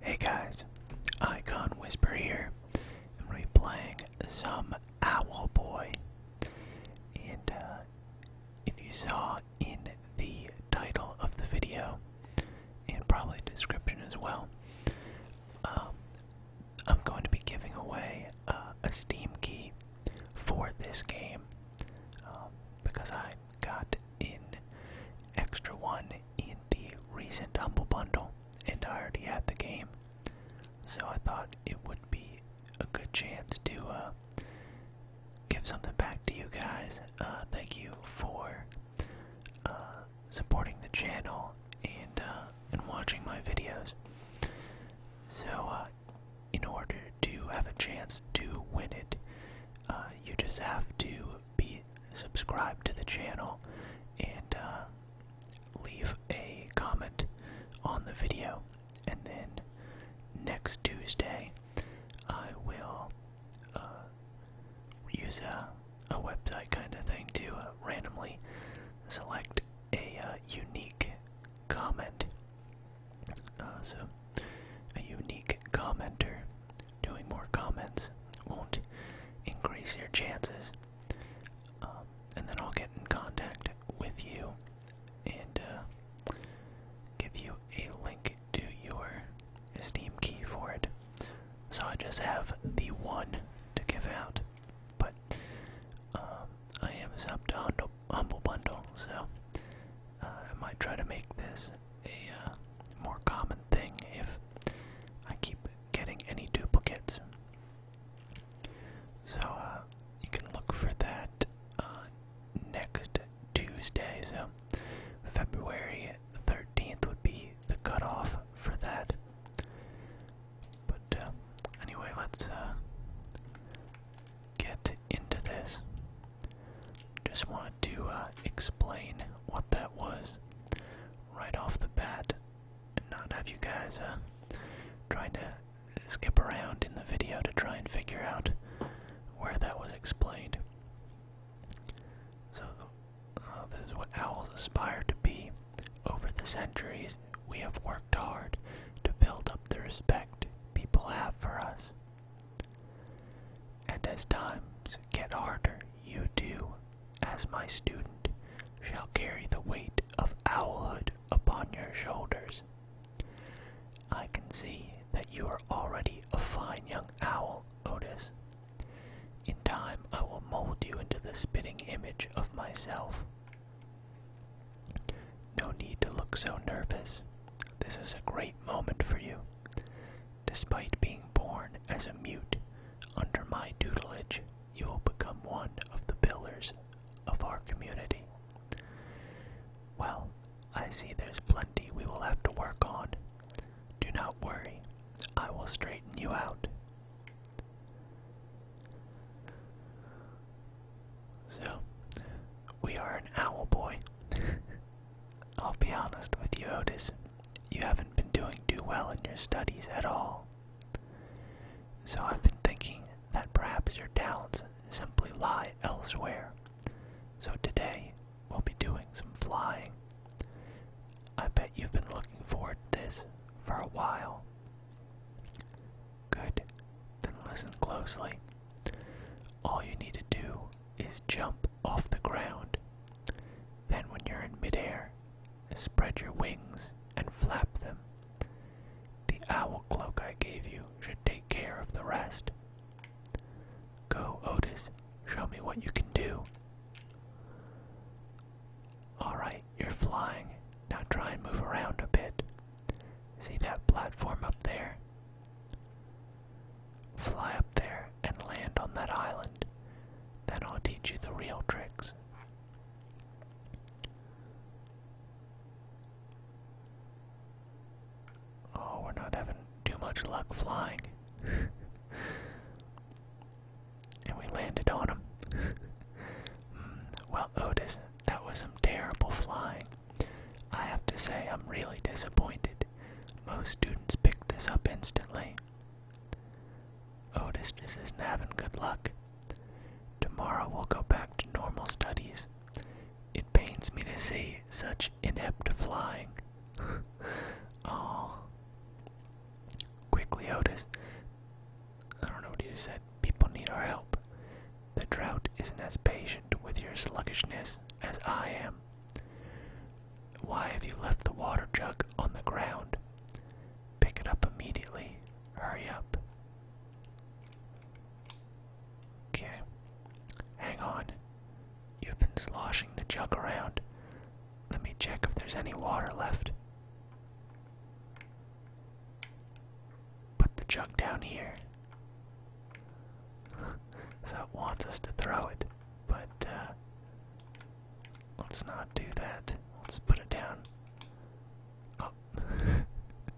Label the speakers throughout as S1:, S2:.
S1: Hey guys, Icon Whisper here. I'm replaying some Owl Boy. And uh,
S2: if you saw in the title of the video, and probably
S1: description as well, um, I'm going to be giving away uh, a Steam key for this game um, because I got in extra one in the recent humble bundle and I already had the game. So I thought it would be a good chance to uh, give something back to you guys. Uh, thank you for uh, supporting the channel and uh, and watching my videos. So uh, in order to have a chance to win it, uh, you just have to be subscribed to the channel and uh, leave a comment on the video. And then next Tuesday, I will uh, use a, a website kind of thing to uh, randomly select a unique comment. Uh, so, a unique commenter doing more comments won't increase your chances. Um, and then I'll get in contact with you and uh, give you a link to your Steam key for it. So I just have the one to give out. But um, I am up to Humble Bundle, so uh, I might try to make this a uh, more common thing if I keep getting any duplicates. So uh, you can look for that uh, next Tuesday. So February 13th would be the cutoff for that. But anyway, let's get into this. Just wanted to uh, explain what that was right off the bat and not have you guys uh, trying to skip around in the video to try and figure out where that was explained. So, uh, this is what owls aspire to be. Over the centuries, we have worked hard to build up the respect people have for us. And as times get harder, you too, as my student, shall carry the weight of owlhood upon your shoulders. I can see that you are already a fine young owl, Otis. In time, I will mold you into the spitting image of myself. No need to look so nervous. This is a great moment for you. Despite being born as a mute, under my tutelage, you will become one of the pillars of our community. Well, I see there's plenty we will have to work on. Do not worry, I will straighten you out. So, we are an owl boy. I'll be honest with you, Otis. You haven't been doing too well in your studies at all. So I've been thinking that perhaps your talents simply lie elsewhere. So today we'll be doing some flying. I bet you've been looking forward to this for a while. Good. Then listen closely. All you need to do is jump off the ground. Then, when you're in midair, spread your wings and flap them. The owl cloak I gave you should take care of the rest. Go, Otis, show me what you can do. Alright, you're flying. Now try and move around a bit. See that platform up there? Fly up there and land on that island. Then I'll teach you the real tricks. Oh, we're not having too much luck flying. and we landed on him. well, Otis, that was some terrible flying. I have to say, I'm really disappointed. Most students pick this up instantly. Otis just isn't having good luck. Tomorrow we'll go back to normal studies. It pains me to see such inept flying. oh. Quickly, Otis. I don't know what you said. People need our help. The drought isn't as patient with your sluggishness as I am. Why have you left the water jug on the ground? Pick it up immediately. Hurry up. Okay. Hang on. You've been sloshing the jug around. Let me check if there's any water left. Put the jug down here. so it wants us to throw it, but uh, Let's not do that. Let's put it down. Oh. that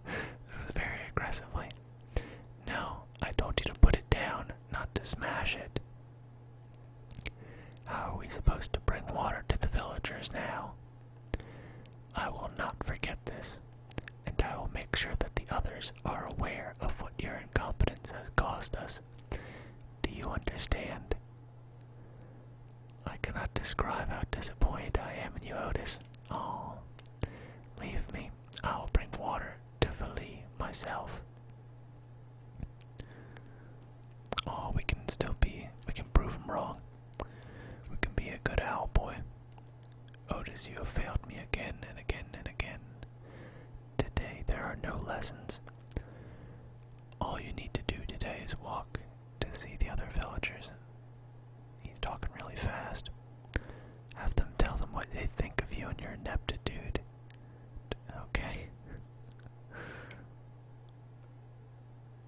S1: was very aggressively. No, I told you to put it down, not to smash it. How are we supposed to bring water to the villagers now? I will not forget this, and I will make sure that the others are aware of what your incompetence has cost us. Do you understand? I cannot describe how disappointed I am in you, Otis. Oh, leave me. I will bring water to Philly myself. Oh, we can still be. We can prove him wrong. We can be a good owl boy. Otis, you have failed me again and again and again. Today there are no lessons. All you need to do today is walk to see the other villagers. He's talking really fast. Have them tell them what they think of you and your ineptitude. Okay.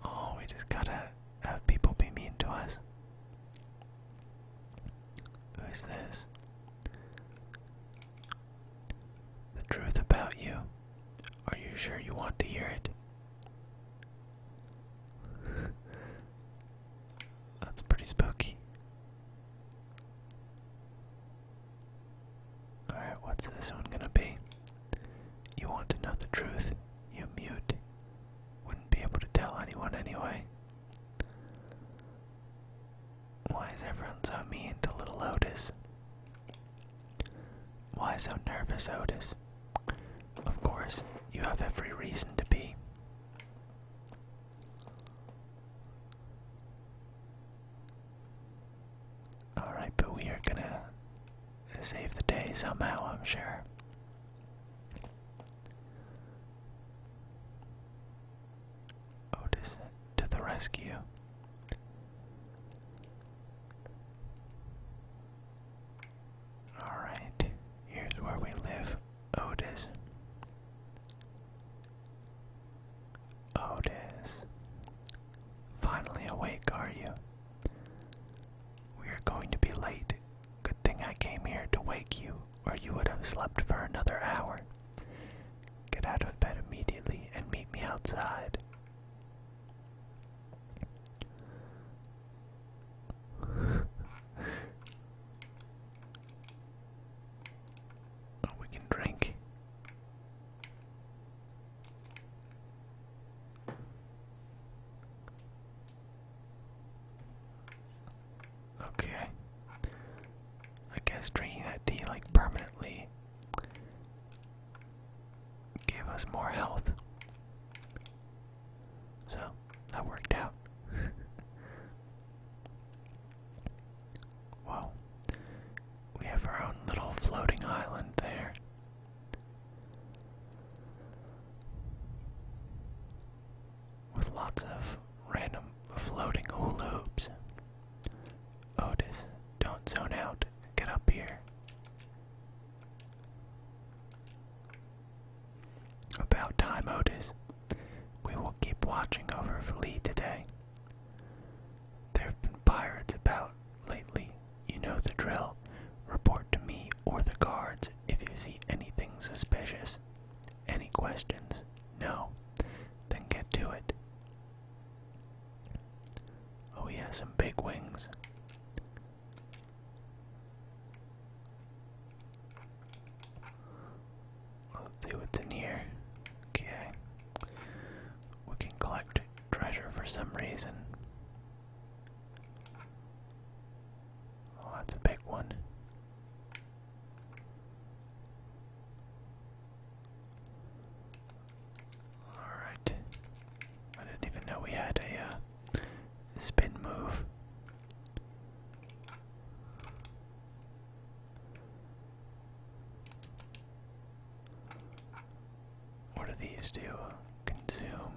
S1: oh, we just gotta have people be mean to us. Who's this? The truth about you. Are you sure you want to hear it? That's pretty spooky. Alright, what's this one gonna be? You want to know the truth, you mute. Wouldn't be able to tell anyone anyway. Why is everyone so mean to little Otis?
S2: Why so nervous, Otis? Of course, you have every reason to be.
S1: Alright, but we are gonna save the day somehow, I'm sure. Otis to the rescue. Alright, here's where we live, Otis. Otis. Finally awake, are you? We are going to be late. Good thing I came here to wake you, or you would have slept for another hour. Get out of bed immediately and meet me outside. Oh, we can drink. Okay. I guess drinking that tea like permanently gave us more health. So, that worked out. Whoa. We have our own little floating island there. With lots of random floating hula hoops. Otis, don't zone out. Get up here. About time, Otis. We will keep watching over Vli today. There have been pirates about lately. You know the drill. Report to me or the guards if you see anything suspicious. Any questions? No? Then get to it. Oh, he has some big wings. Let's see what's in here. Okay. We can collect treasure for some reason. Oh, that's a big one. Alright. I didn't even know we had a uh, spin move. What do these do? Consume.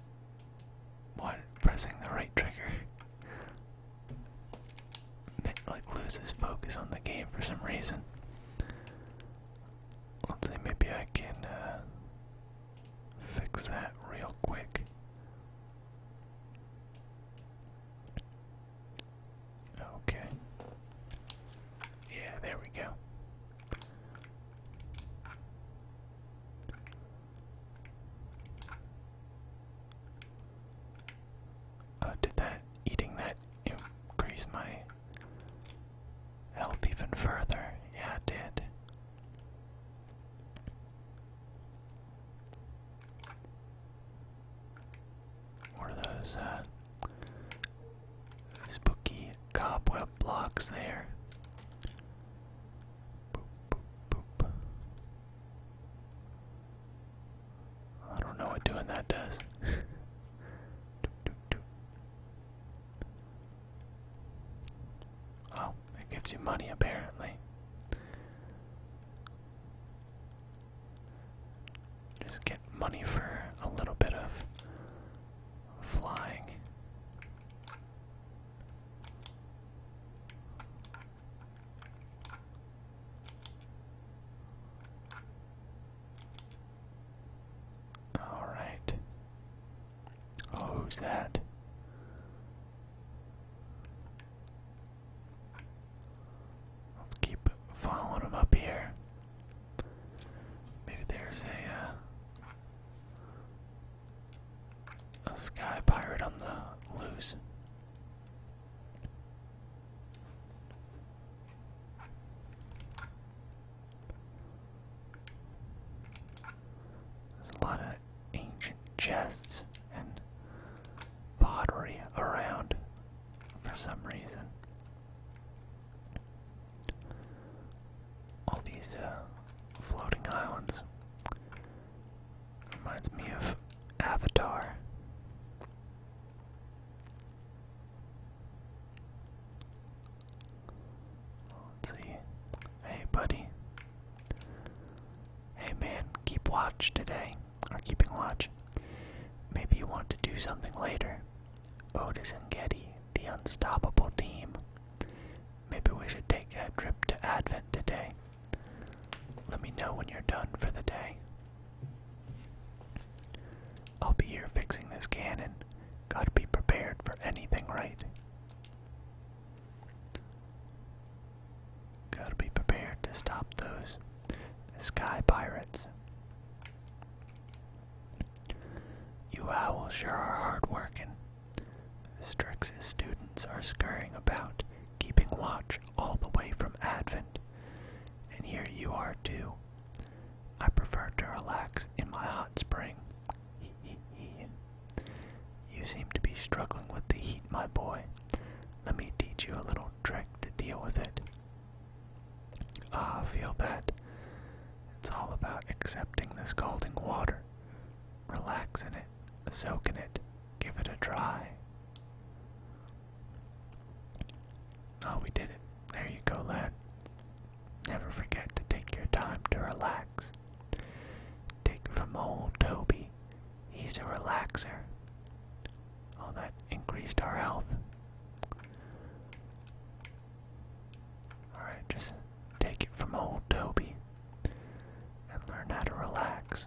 S1: What? Pressing the right trigger like loses focus on the game for some reason. Let's see, maybe I can uh, fix that real quick. Okay. Yeah, there we go. Uh, did that eating that increase my health even further? Yeah, it did. What are those uh, spooky cobweb blocks there? I don't know what doing that does. oh, it gives you money apparently. Just get money for a little bit of flying. All right. Oh, who's that? Let's keep following them up here. Maybe there's a uh, a sky pirate on the loose. There's a lot of ancient chests and pottery around for some reason. All these uh, floating islands reminds me of Avatar. Let's see. Hey, buddy. Hey, man, keep watch today. Are keeping watch. Maybe you want to do something later. Otis and Getty, the unstoppable team. Maybe we should take that trip to Advent today. Let me know when you're done for the day. I'll be here fixing this cannon. Gotta be prepared for anything, right? Gotta be prepared to stop those sky pirates. You owls sure are hard working. Strix's students are scurrying about, keeping watch all the way from Advent and here you are too. I prefer to relax in my hot spring. you seem to be struggling with the heat, my boy. Let me teach you a little trick to deal with it. Ah, feel that. It's all about accepting the scalding water. Relax in it, soak in it, give it a try. Oh, we did it. There you go, lad. Never forget to take your time to relax. Take from old Toby. He's a relaxer. All that increased our health. Alright, just take it from old Toby and learn how to relax.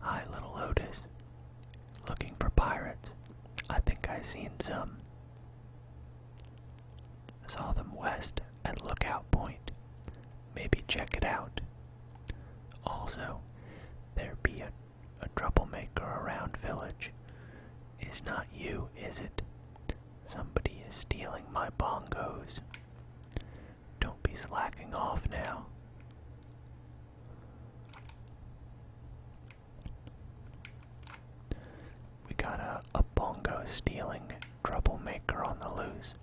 S1: Hi, little Otis looking for pirates. I think I seen some. Saw them west at Lookout Point. Maybe check it out. Also, there be a, troublemaker around village. Is not you, is it? Somebody is stealing my bongos. Don't be slacking off now. We got a, bongo stealing troublemaker on the loose.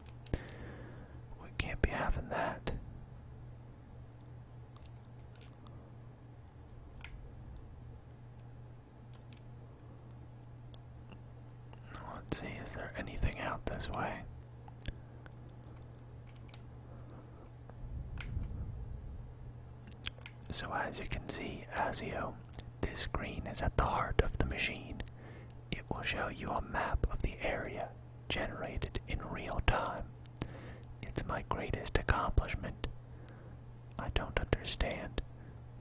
S1: We can't be having that. Let's see, is there anything out this way? So, as you can see, Azio, this screen is at the heart of the machine. It will show you a map of the area generated in real time. It's my greatest accomplishment. I don't understand.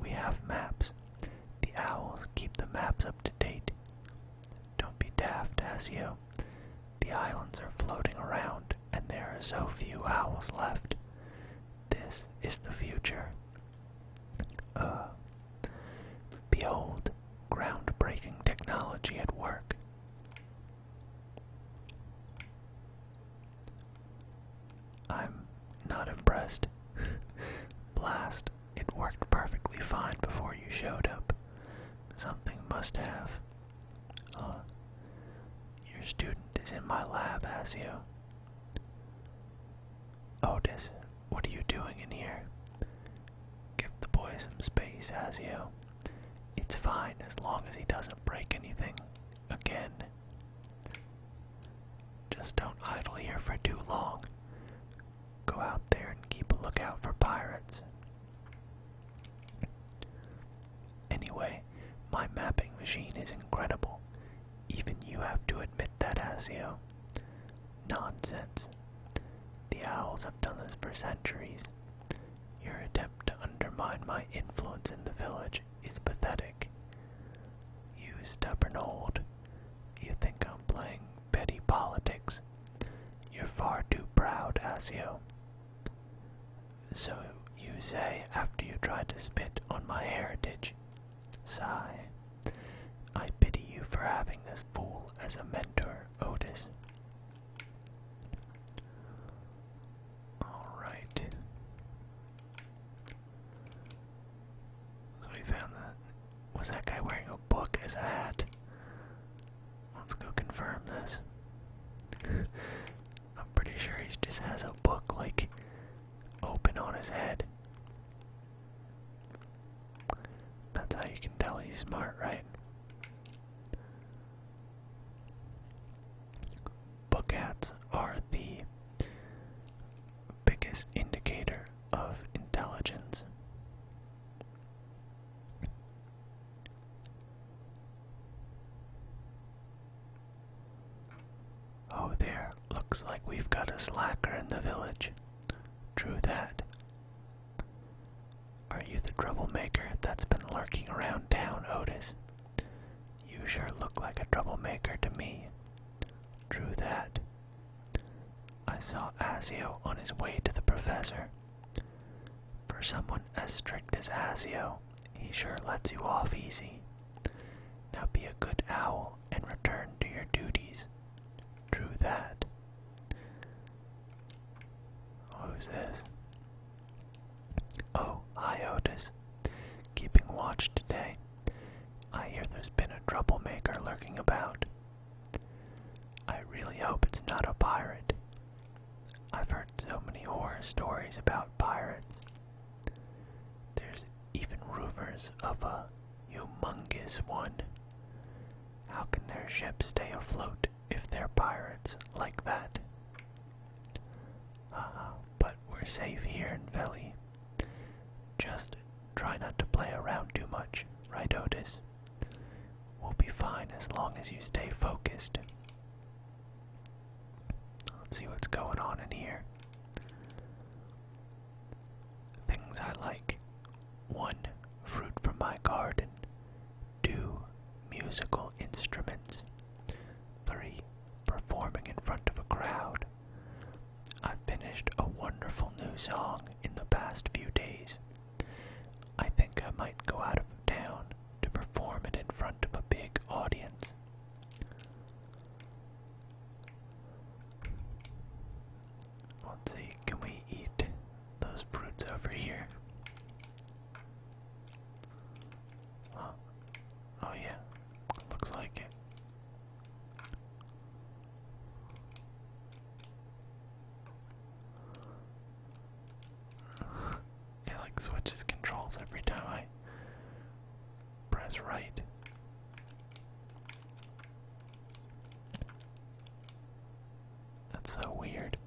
S1: We have maps. The owls keep the maps up to date. Don't be daft, as you. The islands are floating around, and there are so few owls left. This is the future. Uh, behold, groundbreaking technology at work. I'm not impressed. Blast, it worked perfectly fine before you showed up. Something must have your student is in my lab, Asio. Otis, what are you doing in here? Give the boy some space, Asio. It's fine as long as he doesn't break anything. Again. Just don't idle here for too long. Go out there and keep a lookout for pirates. Anyway, my mapping machine is incredible. Even you have to admit that, Asio. Nonsense. The owls have done this for centuries. Your attempt to undermine my influence in the village is pathetic. You stubborn old. You think I'm playing petty politics. You're far too proud, Asio. So you say after you tried to spit on my heritage. Sigh. I pity you for having this fool as a mentor, Otis. Alright. So we found that. Was that guy wearing a book as a hat? Let's go confirm this. I'm pretty sure he just has a book like open on his head. That's how you can tell he's smart, right? Book cats are the biggest indicator of intelligence. Oh, there. Looks like we've got a slacker in the village. True that. Are you the troublemaker that's been lurking around town, Otis? You sure look like a troublemaker to me. True that. I saw Asio on his way to the professor. For someone as strict as Asio, he sure lets you off easy. Now be a good owl and return to your duties. True that. Who's this? Oh, hi Keeping watch today. I hear there's been a troublemaker lurking about. I really hope it's not a pirate. I've heard so
S2: many horror stories about pirates. There's even rumors
S1: of a humongous one. How can their ships stay afloat if they're pirates like that? Uh, but we're safe here in Veli. Just try not to play around too much, right, Otis? We'll be fine as long as you stay focused. Let's see what's going on in here. Things I like. 1. Fruit from my garden. 2. Musical instruments. 3. Performing in front of a crowd. I finished a wonderful new song in the past few days I think I might go out of town to perform it in front of a big audience. Let's see, can we eat those fruits over here? Huh. Oh, yeah, looks like it. It like switches controls every time I press right. That's so weird.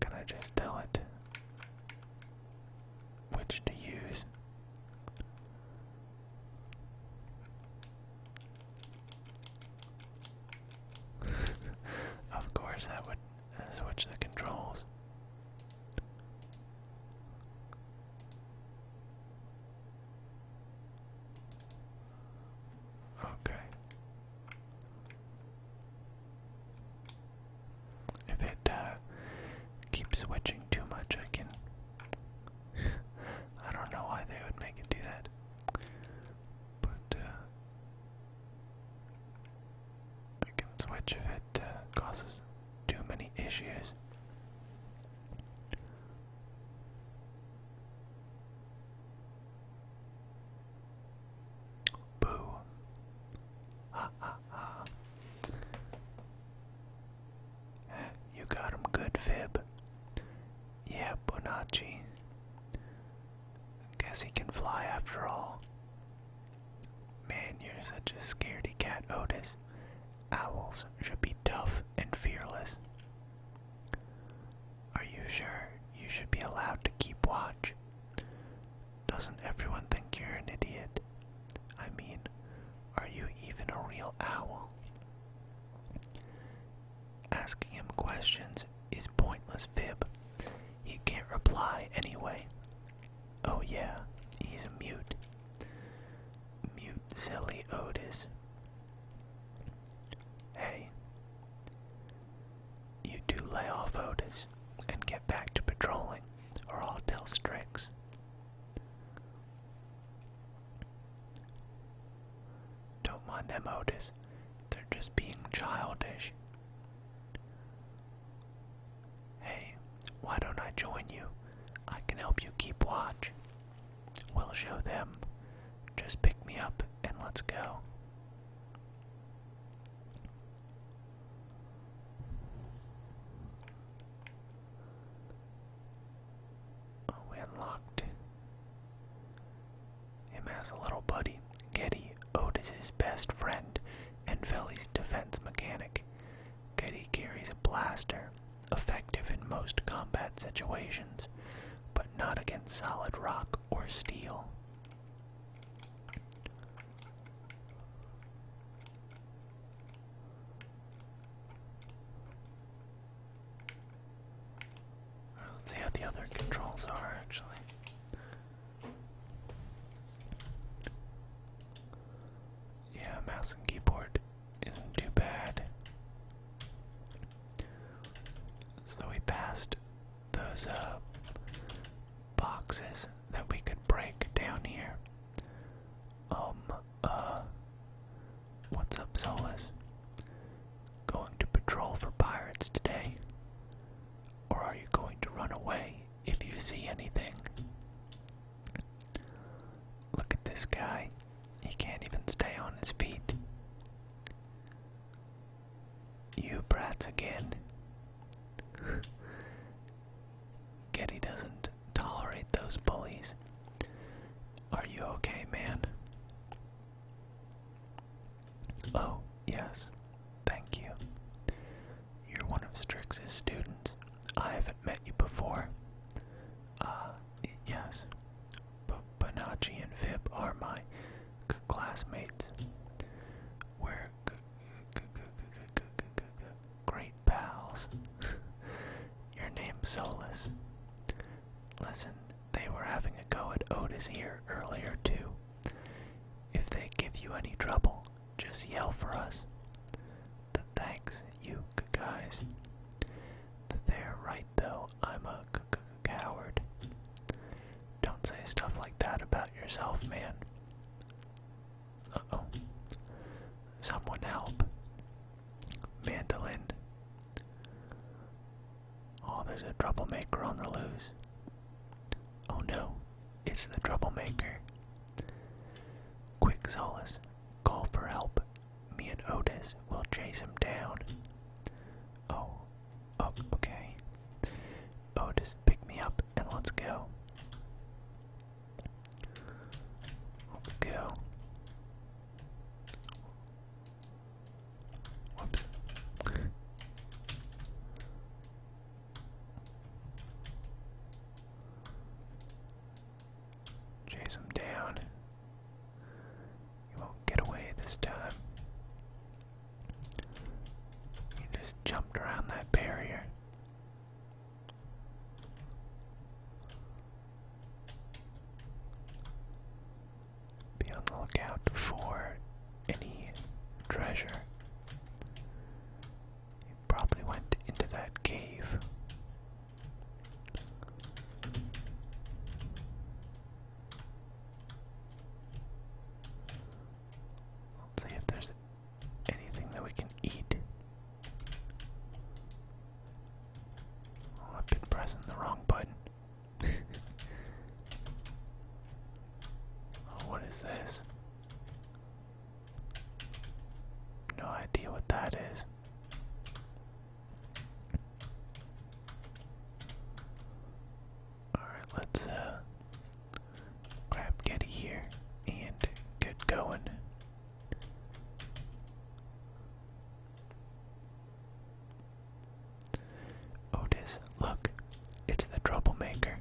S1: Can I just tell it which to use? of course, that would switch the controls. Okay. If it uh, keeps switching too much, I can. I don't know why they would make it do that. But uh, I can switch if it uh, causes too many issues. Boo. Ha ha ha. You got him good, Fib. Yeah, Bonacci. Guess he can fly after all. Man, you're such a scaredy cat, Otis. Owls should be tough and fearless. Are you sure you should be allowed to keep watch? Doesn't everyone think you're an idiot? I mean, are you even a real owl? Asking him questions is pointless fib. He can't reply anyway. Oh yeah, he's a mute. Mute silly Otis. Hey. You do lay off Otis and get back to patrolling, or I'll tell Strix. Don't mind them, Otis. They're just being childish. Hey, why don't I join you? I can help you keep watch. We'll show them. Just pick me up and let's go. Oh, we unlocked him as a little buddy, Getty, Otis's best friend, and Veli's defense mechanic. Getty carries a blaster, effective in most combat situations, but not against solid rock or steel. Let's see how the other controls are actually. Yeah, mouse and keyboard isn't too bad. So we passed those uh, boxes that we could break down here. Um, uh, what's up, Solus? Going to patrol for pirates today. Or are you going to run away if you see anything? Look at this guy. He can't even stay on his feet. You brats again. Getty doesn't tolerate those bullies. Are you okay, man? Oh, yes. Thank you. You're one of Strix's students. I haven't met you before. Ah, uh, yes. But Bonacci and Vib are my classmates. We're great pals. Your name's Solus. Listen, they were having a go at Otis here earlier, too. If they give you any trouble, just yell for us. thanks, you guys. They're right though, I'm a a coward. Don't say stuff like that about yourself, man. Uh-oh. Someone help. Mandolin. Oh, there's a troublemaker on the loose. Oh no, it's the troublemaker. Quick, Solus, call for help. Me and Otis will chase him down. Oh, oh, okay. Otis, pick me up and let's go. Let's go. Chase him down. He won't get away this time. He just jumped around that barrier. Be on the lookout for any treasure. He probably went into that cave. see if there's anything that we can eat. Oh, I've been pressing the wrong button. Oh, what is this? No idea what that is. Alright, let's uh, grab Getty here and get going. Otis, oh, look, it's the troublemaker.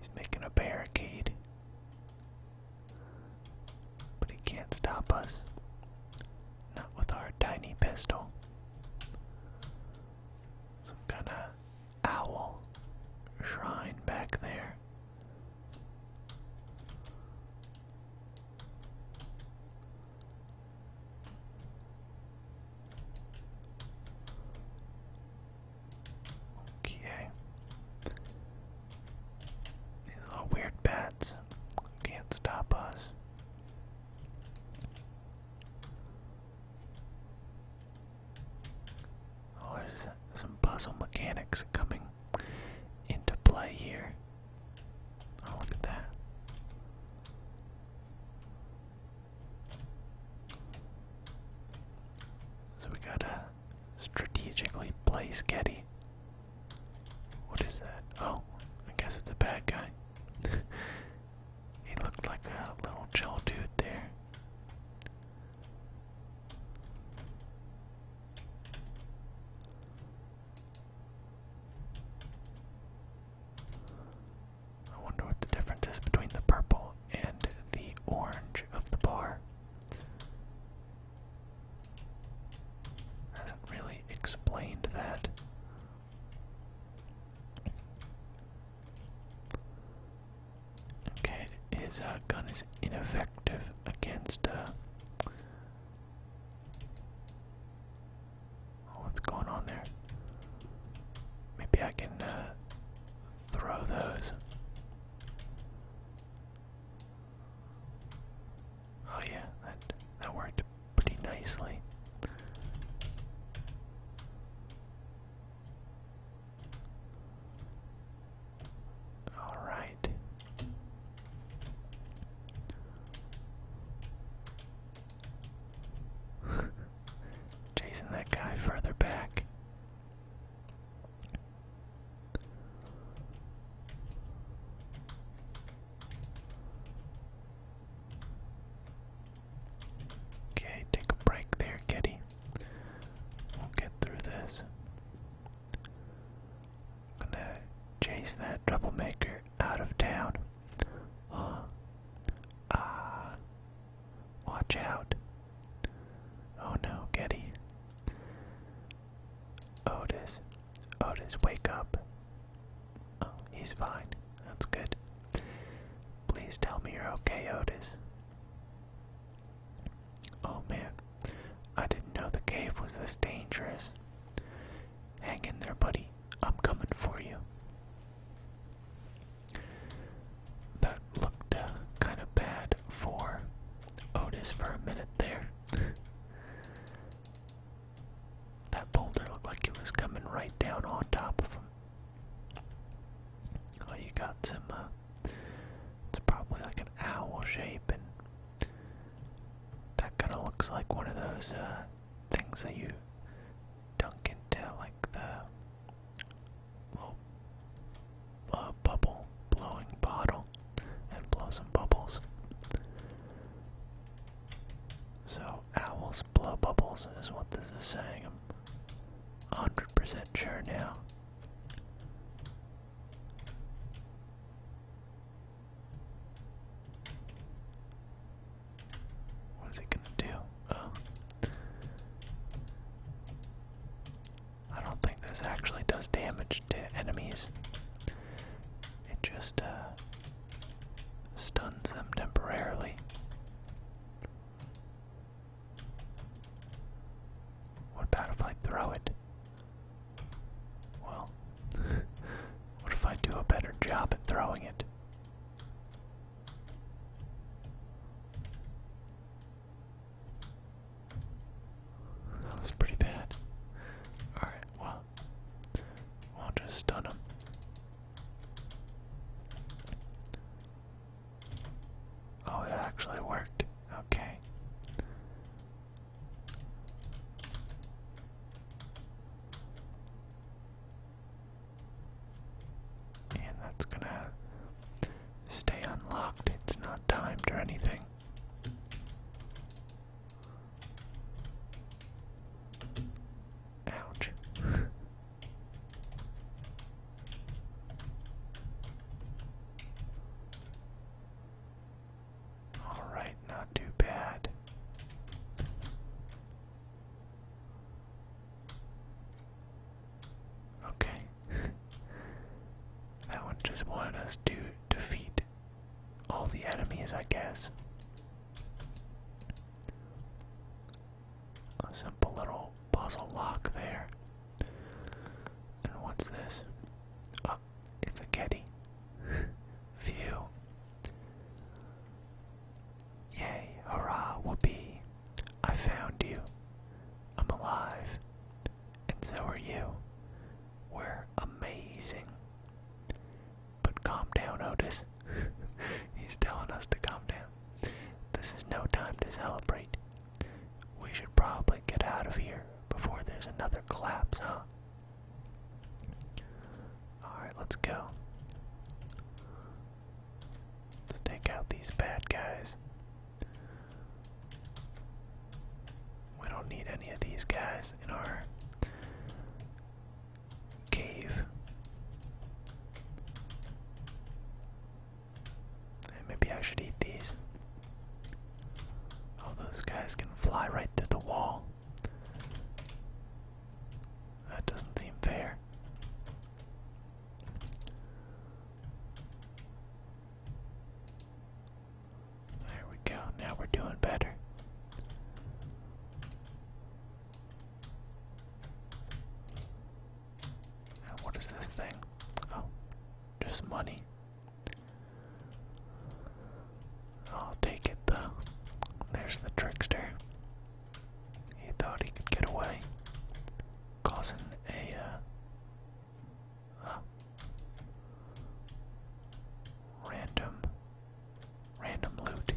S1: He's making a barricade. But he can't stop us. Not with our tiny pistol. Some kind of owl shrine back there. Okay. These little weird bats can't stop us. Oh, there's some puzzle mechanics coming into play here. Oh, look at that. So we gotta strategically place Getty. What is that? Oh, I guess it's a bad guy. he looked like a little chill dude there. I wonder what the difference is between the purple and the orange of the bar. Hasn't really explained that. Okay, his uh, gun is ineffective against uh, Oh, what's going on there? Maybe I can uh, throw those. Oh yeah, that that worked pretty nicely. All right. Chasing that guy further back. Okay, take a break there, Getty. We'll get through this. gonna chase that troublemaker out of town. Huh. Ah. Watch out. Oh no, Getty. Otis. Otis, wake up. Oh, he's fine. That's good. Please tell me you're okay, Otis. Oh man, I didn't know the cave was this dangerous. Hang in there, buddy. I'm coming for you. That looked uh, kind of bad for Otis for a minute there. that boulder looked like it was coming right down on top of him. Oh, you got some, uh, it's probably like an owl shape, and that kind of looks like one of those, uh, things that you dunk tell like the little bubble blowing bottle and blow some bubbles. So owls blow bubbles is what this is saying. I'm 100% sure now. What is it gonna do? Oh. I don't think this actually does damage to enemies. It just uh, stuns them temporarily. What about if I throw it? Well, what if I do a better job at throwing it? That was pretty bad. Alright, well, we'll just stun him. Oh, it actually worked. Okay. And that's gonna stay unlocked. It's not timed or anything. Ouch. All right, not too bad. Okay. that one just wanted us to defeat all the enemies, I guess. A simple little puzzle lock there. And what's this? Oh, it's a Getty. Phew. Yay, hurrah, whoopee. I found you. I'm alive. And so are you. We're amazing. But calm down, Otis. He's telling us to calm down. This is no time to celebrate. We should probably get out of here before there's another collapse, huh? Alright, let's go. Let's take out these bad guys. We don't need any of these guys in our cave. maybe I should eat these. All those guys can fly right through the wall. That doesn't seem fair. There we go, now we're doing better. what is this thing? Oh, just money. I'll take it though. There's the trickster. He thought he could get away, causing a. Uh, random, random loot.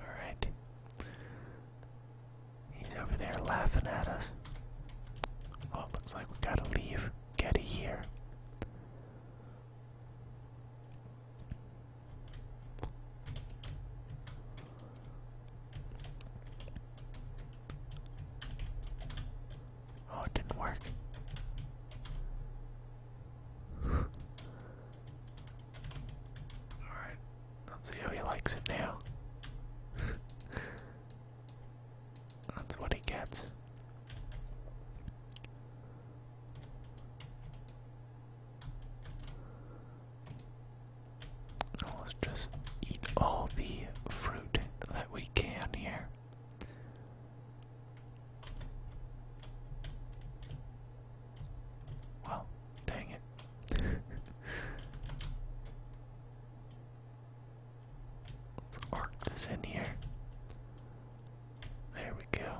S1: All right. He's over there laughing at us. Oh, it looks like we gotta leave Getty here. Oh, it didn't work. Alright, let's see how he likes it now. That's what he gets. let's just eat all the fruit that we can here. Well, dang it. Let's arc this in here. There we go.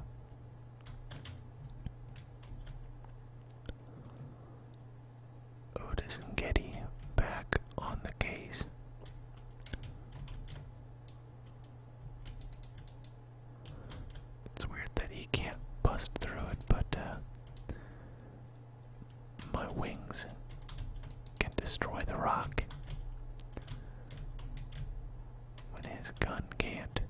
S1: Otis and Getty back on the case. It's weird that he can't bust through it, but uh, my wings can destroy the rock when his gun can't.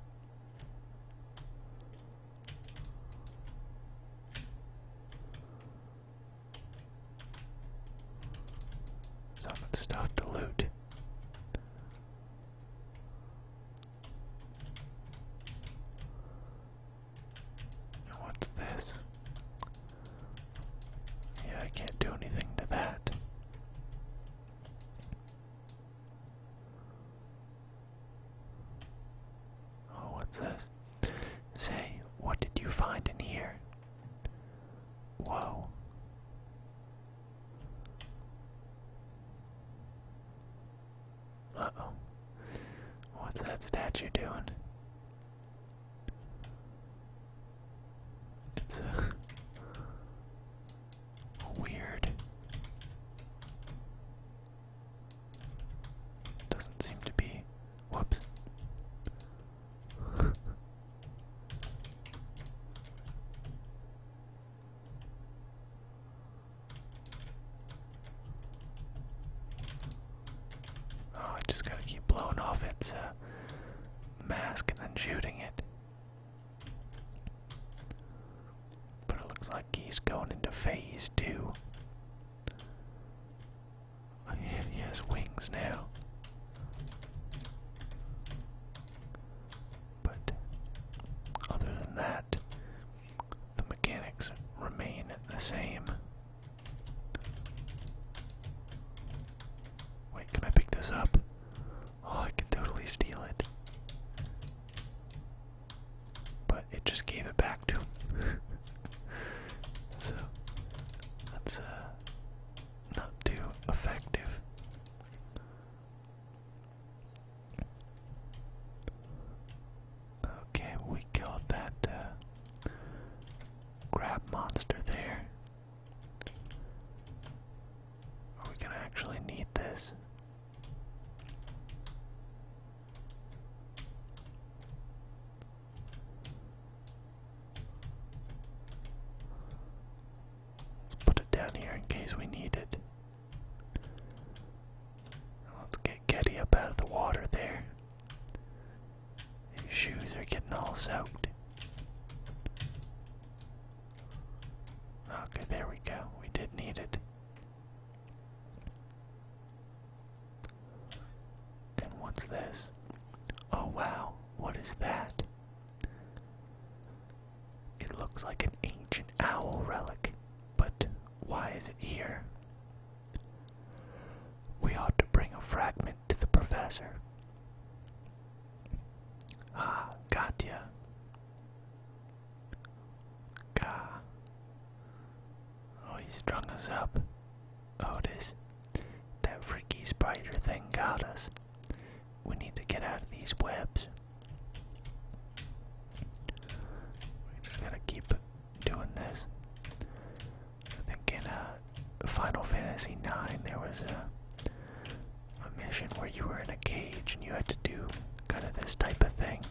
S1: Some stuff to loot. What's this? Yeah, I can't do anything to that. Oh, what's this? Say, what did you find in here? Whoa. Uh oh. What's that statue doing? It's a uh, weird. Doesn't seem to be. Whoops. Oh, I just gotta keep blowing off its uh, mask and then shooting it. But it looks like he's going into phase two. he has wings now. But other than that, the mechanics remain the same. Wait, can I pick this up? Oh, I can totally steal it. But it just gave it back to him. so, that's uh, not too effective. Okay, we got that uh, Grab monster there. Are we gonna actually need this? Let's put it down here in case we need it. Let's get Getty up out of the water there. His shoes are getting all soaked. Okay, there we go. We did need it. And what's this? Oh wow, what is that? It looks like an ancient owl relic, but why is it here? We ought to bring a fragment to the professor. Ah, gotcha. Gah. Oh, he's strung us up. Otis, oh, that freaky spider thing got us. We need to get out of these webs. We just gotta keep doing this. I think in a Final Fantasy IX there was a, a mission where you were in a cage and you had to do kind of this type of thing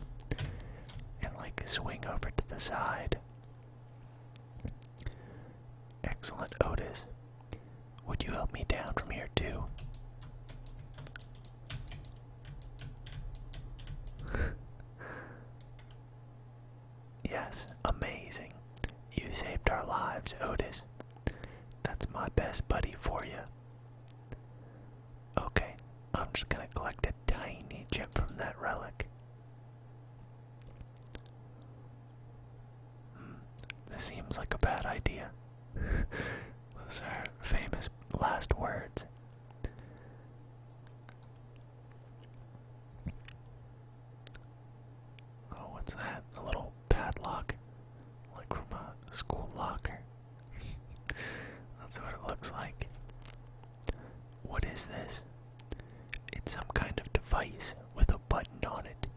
S1: and like swing over to the side. Excellent, Otis. Would you help me down from here too? Yes, amazing. You saved our lives, Otis. That's my best buddy for you. Okay, I'm just gonna collect a tiny chip from that relic. Hmm, this seems like a bad idea. Those are famous last words. Oh, what's that? A little padlock, like from a school locker. That's what it looks like. What is this? It's some kind of device with a button on it.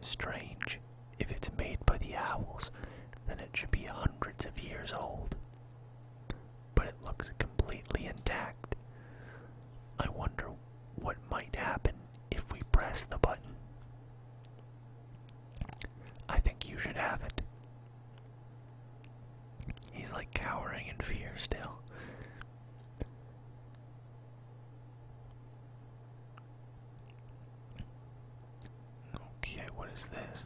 S1: Strange. If it's made by the owls, then it should be hundreds of years old. But it looks completely intact. I wonder what might happen if we press the button. I think you should have it. He's like cowering in fear still. Okay, what is this?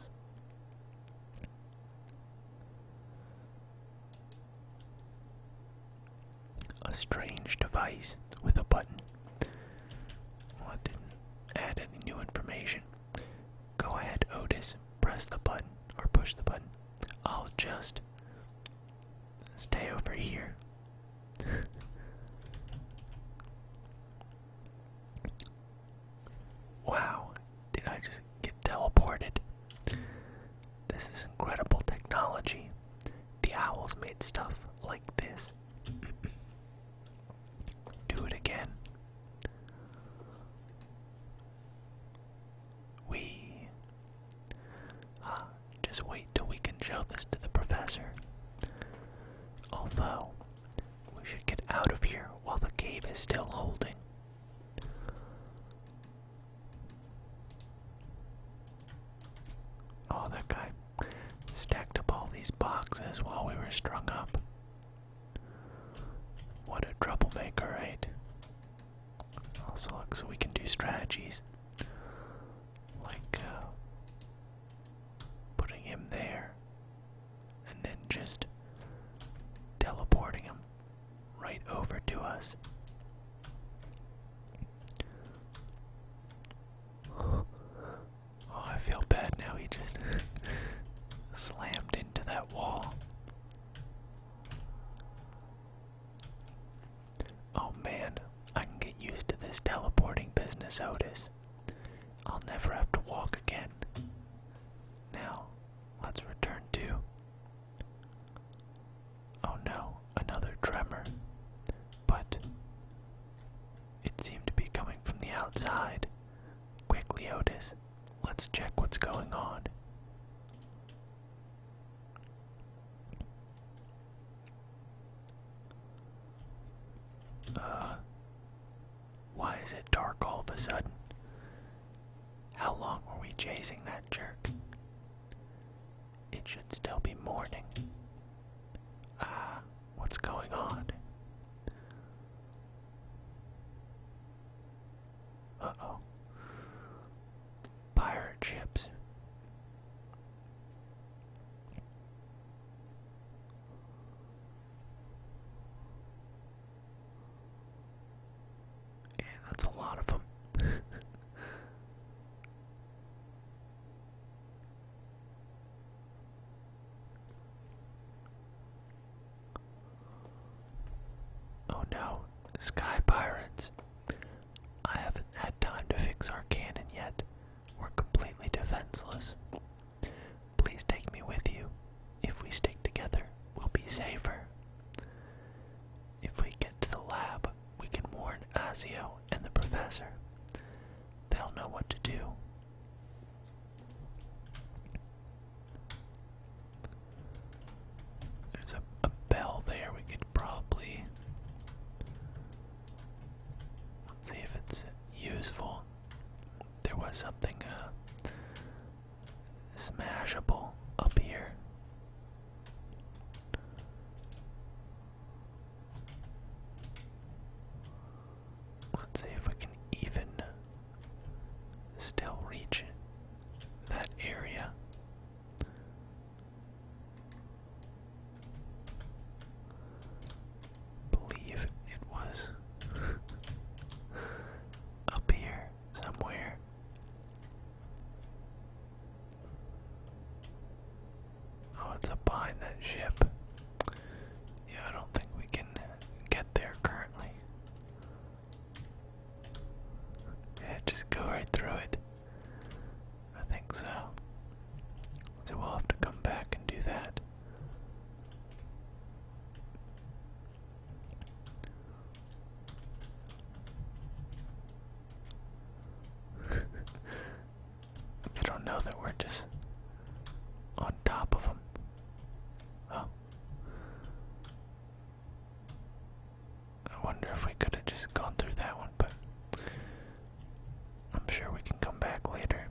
S1: A strange device with a button. I didn't add any new information. Go ahead, Otis. Press the button or push the button. I'll just stay over here. wow, did I just get teleported. This is incredible technology. The owls made stuff like this. Do it again. We. Uh, just wait till we can show this to the professor. Although, we should get out of here while the cave is still holding. Oh, that guy stacked up all these boxes while we were strung up. What a troublemaker, right? Also, look, we can do strategies like uh, putting him there and then just teleporting him right over to us. Oh, I feel bad now. He just slammed into that wall. Oh man, I can get used to this teleporting business, Otis. I'll never have to walk again. Now, let's return to Oh no, another tremor. But it seemed to be coming from the outside. Quickly, Otis, let's check what's going on. Uh, why is it dark all of a sudden? How long were we chasing that jerk? It should still be morning. Ah, what's going on? Uh oh. Pirate ships. And that's a lot of them. oh no, Sky Pirates. I haven't had time to fix our cannon yet. We're completely defenseless. Please take me with you. If we stick together, we'll be safer. If we get to the lab, we can warn Azio and the professor. They'll know what to do. There's a, bell there. We could probably. Let's see if it's useful. There was something uh, smashable up here. Let's see if we can even still reach that area. Believe it was up here somewhere. Oh, it's up behind that
S2: ship. Yeah, I don't think we can get there currently.
S1: Yeah, just go right through it. I think so. So we'll have to come back and do that. they don't know that we're just on top of them. Oh. I wonder if we could have just gone through that one, but I'm sure we can come back later.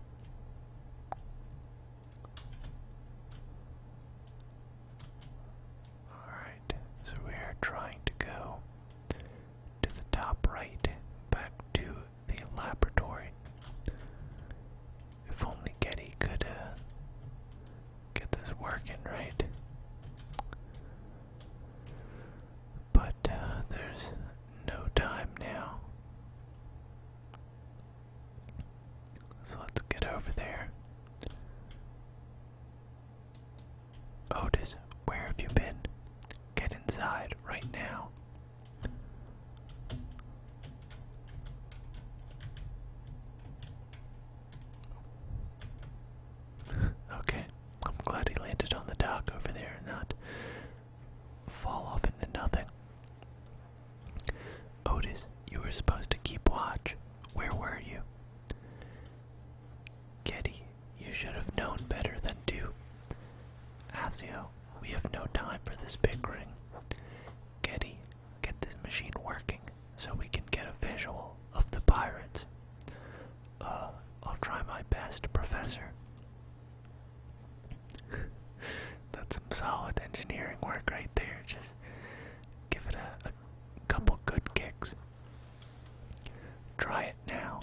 S1: Alright so we are trying to go to the top right, back to the laboratory. If only Getty could uh, get this working right. But uh, there's no time now. So let's get over there. Otis, where have you been? Get inside right now. okay, I'm glad he landed on the dock over there and not fall off into nothing. Otis, you were supposed to keep watch. Where were you? Getty, you should have known better than to. Asio, we have no time for this bickering. Getty, get this machine working so we can get a visual of the pirates. Uh, I'll try my best, Professor. That's some solid engineering work right there. Just give it a couple good kicks. Try it now.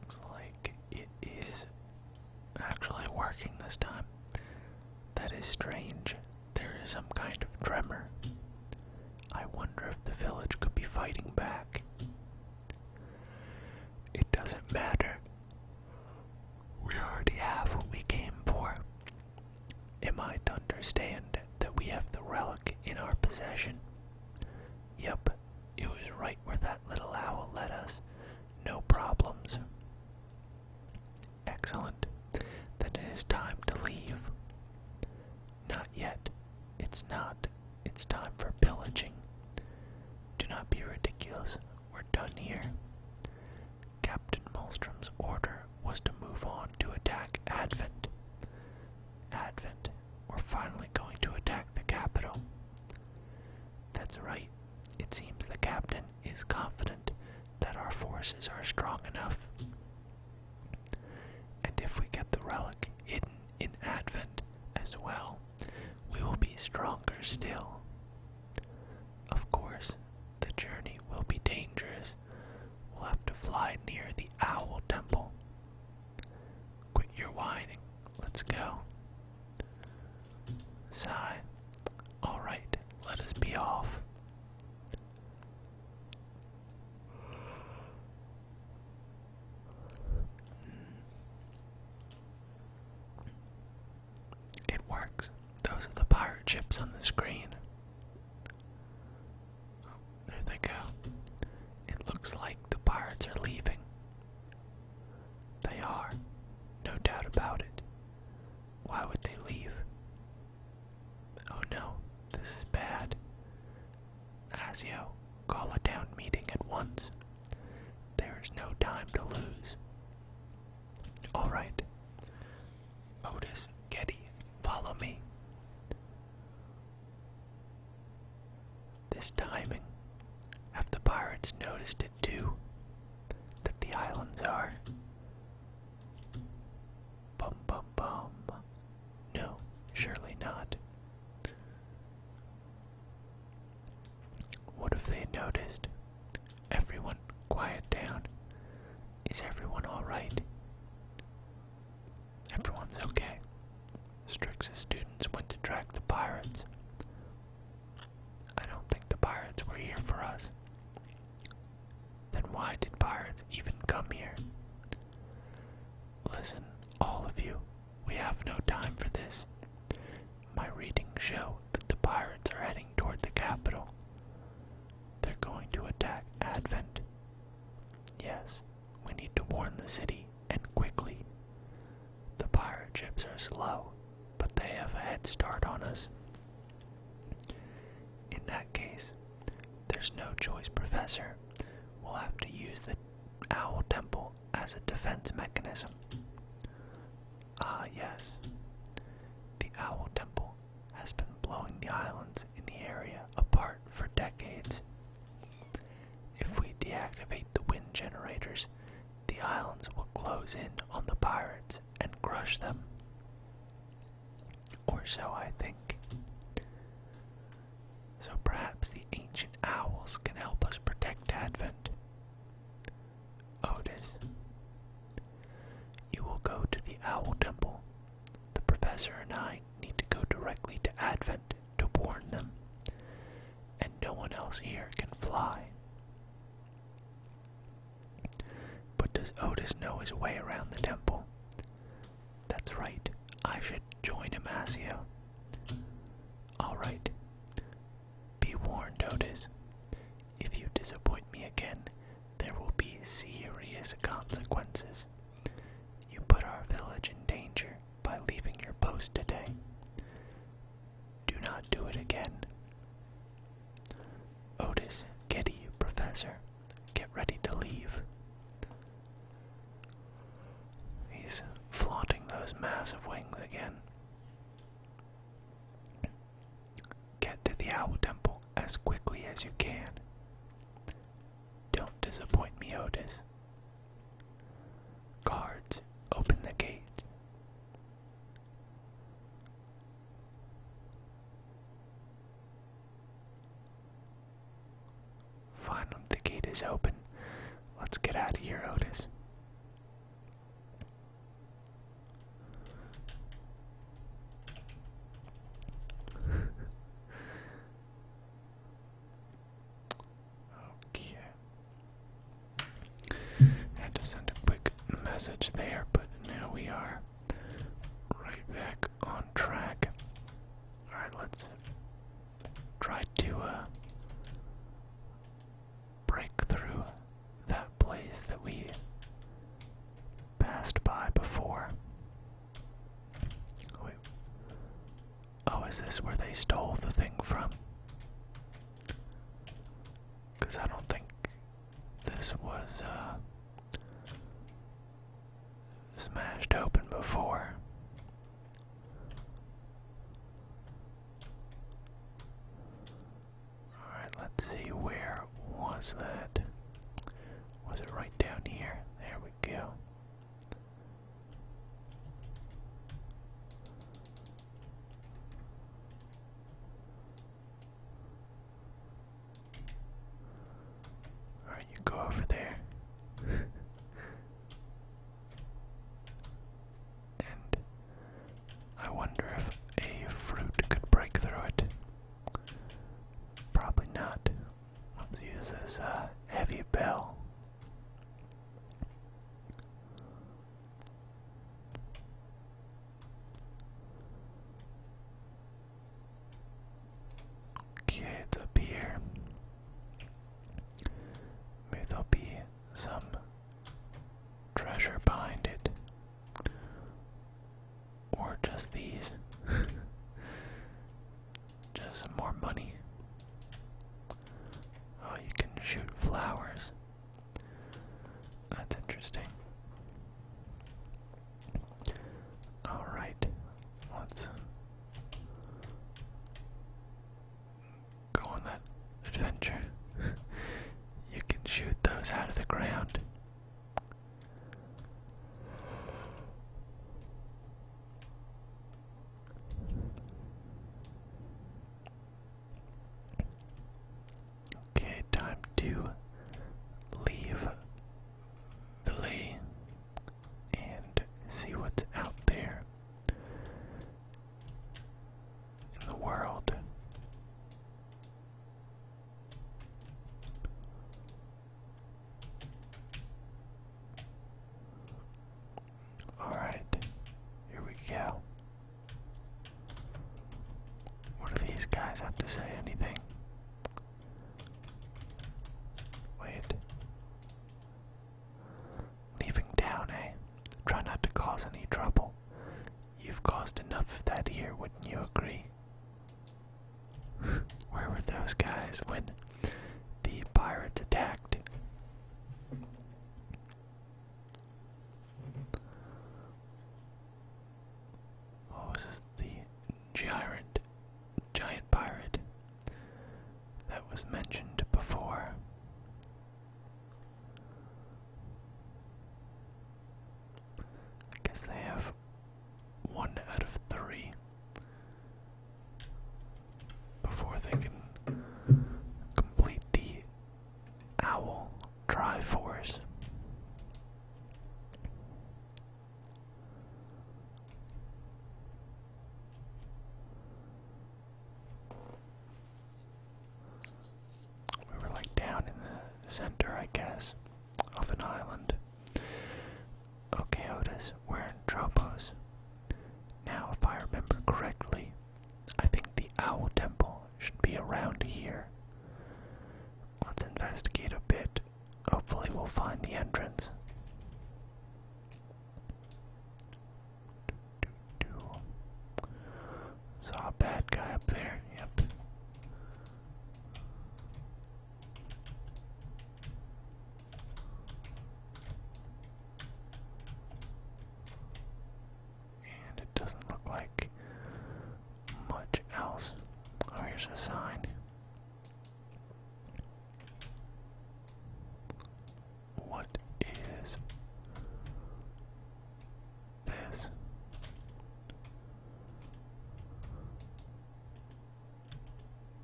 S1: Looks like it is actually working this time. That is strange. There is some kind of tremor. I wonder if the village could be fighting back. It doesn't matter. We already have what we came for. Am I to understand that we have the relic in our possession? Yep, it was right where that little owl led us. No problems. Excellent. Then it is time to leave. Not yet. It's not it's time for pillaging. Do not be ridiculous. We're done here. Captain Malstrom's order was to move on to attack Advent. Advent, we're finally going to attack the capital. That's right. It seems the captain is confident that our forces are strong enough. And if we get the relic
S2: hidden in Advent as well, we will be stronger still.
S1: Of course, the journey will be dangerous. We'll have to fly near the Owl Temple. Quit your whining. Let's go. Sigh. All right, let us be off. It works. Those are the pirate ships on the screen. Oh, there they go. It looks like the pirates are leaving. They are, no doubt about it. Why would they leave? Oh no, this is bad. Asio, call a town meeting at once. There is no time to lose. All right. Otis, Getty, follow me. This timing, have the pirates noticed it too? That the islands are. Bum bum bum. No, surely not. What if they noticed? Everyone, quiet down. Is everyone alright? Everyone's okay. Strix's students went to track the pirates. I don't think the pirates were here for us. Then why did pirates even come here? Listen, all of you, we have no time for this. My readings show that the pirates are heading toward the capital. They're going to attack Advent. Yes, we need to warn the city, and quickly. The pirate ships are slow, but they have a head start on us. In that case, there's no choice, Professor. We'll have to use the Owl Temple as a defense mechanism. Ah, yes. The Owl Temple has been blowing the islands in the area apart for decades. If we deactivate the wind generators, the islands will close in on the pirates and crush them. Or so I think. So perhaps the ancient owls can help us protect Advent. Otis. Oh, you will go to the Owl Temple. The professor and I need to go directly to Advent to warn them, and no one else here can fly. But does Otis know his way around the temple? That's right, I should join Amasio. Alright, be warned, Otis. If you disappoint me again, there will be serious consequences. You put our village in danger by leaving your post today. Do not do it again. Otis, get Getty, Professor, get ready to leave. He's flaunting those massive wings again. Get to the Owl Temple as quickly as you can. Don't disappoint me, Otis. Guards, open the gates. Finally, the gate is open. Let's get out of here, Otis had to send a quick message there, but now we are right back on track. Alright, let's try to uh, break through that place that we passed by before. Oh, is this where they stole the thing from? Because I don't think this was uh, smashed open before. Alright, let's see, where was that? Was it right down here? There we go. Alright, you go over there. and I wonder if a fruit could break through it. Probably not. Let's use this uh, heavy bell. Kids it's up here. Maybe there be some treasure behind it. Or just these. just some more money. Oh, you can shoot flowers. That's interesting. Alright, let's go on that adventure. you can shoot those out of the ground. Okay, time to leave Ville and see what's out there in the world. Alright, here we go. What do these guys have to say? Anything? Wait. Leaving town, eh? Try not to cause any trouble. You've caused enough of that here, wouldn't you agree? Where were those guys when the pirates attacked? What was The giant, giant pirate that was mentioned before. I guess they have one out of three before they can complete the owl Triforce we were like down in the center, I guess, of an island. Okay, we're in Tropos. Now, if I remember correctly, I think the Owl Temple should be around here. Let's investigate a bit. Hopefully, we'll find the entrance. Saw a bad guy up there, yep. And it doesn't look like much else. Oh, here's a sign. What is this.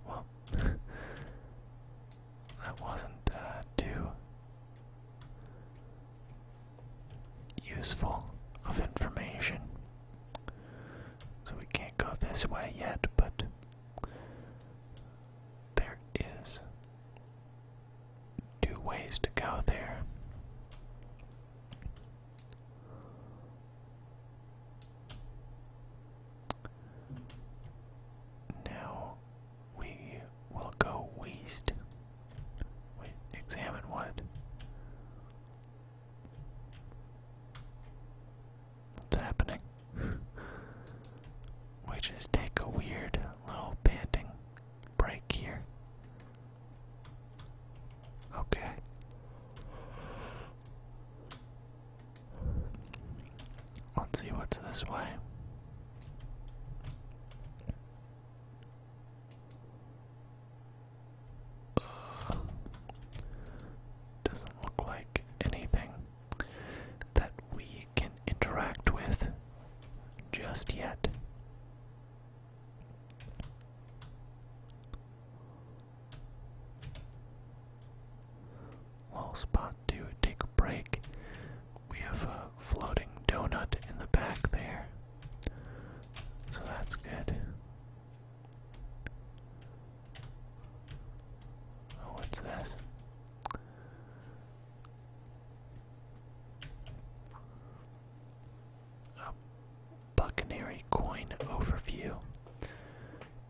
S1: Well, that wasn't uh, too useful of information. So we can't go this way yet, but there is two ways to go there. Now we will go west. Wait, examine what? What's happening? we just take a weird little panting break here. Okay. Let's see what's this way. Uh, doesn't look like anything that we can interact with just yet. Little spot to take a break. We have a floating donut in the back there. So that's good. Oh, what's this? Buccaneer coin overview.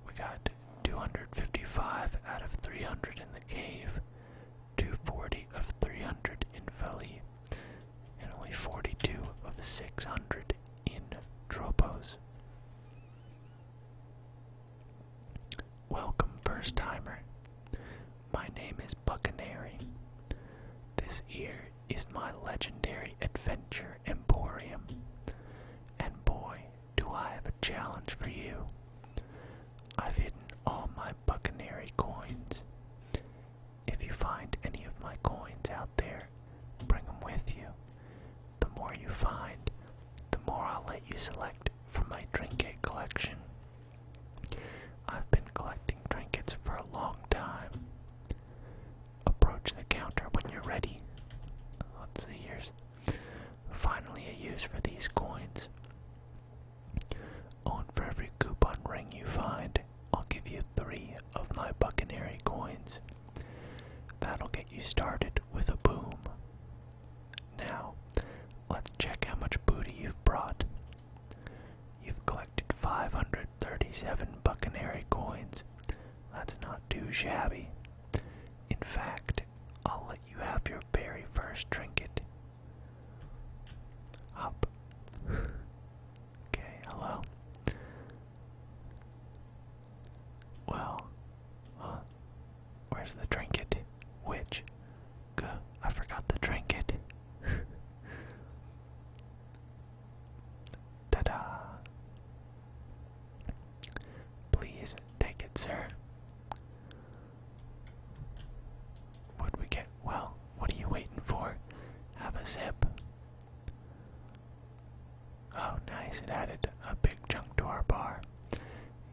S1: We got 255 out of 300 in the cave, 240 of 300 in Veli, and only 42 of the 600 in Tropos. Welcome, first timer. My name is Buccaneer. This here is my legendary adventure emporium. And boy, do I have a challenge for you. I've hidden all my Buccaneer coins. If you find any of my coins out there, bring them with you. The more you find, the more I'll let you select from my trinket collection. I've been collecting trinkets for a long time. Approach the counter when you're ready. Let's see, here's finally a use for these coins. On for every coupon ring you find, I'll give you three of my buccaneering coins. That'll get you started with a boom. Now, let's check how much booty you've brought. You've collected 537 Buccaneer coins. That's not too shabby. In fact, I'll let you have your very first trinket. Hop. okay, hello.
S2: Well, huh? Where's the trinket? Which? I forgot to drink it.
S1: Ta da! Please take it, sir. What'd we get? Well, what are you waiting for? Have a sip. Oh, nice. It added a big chunk to our bar.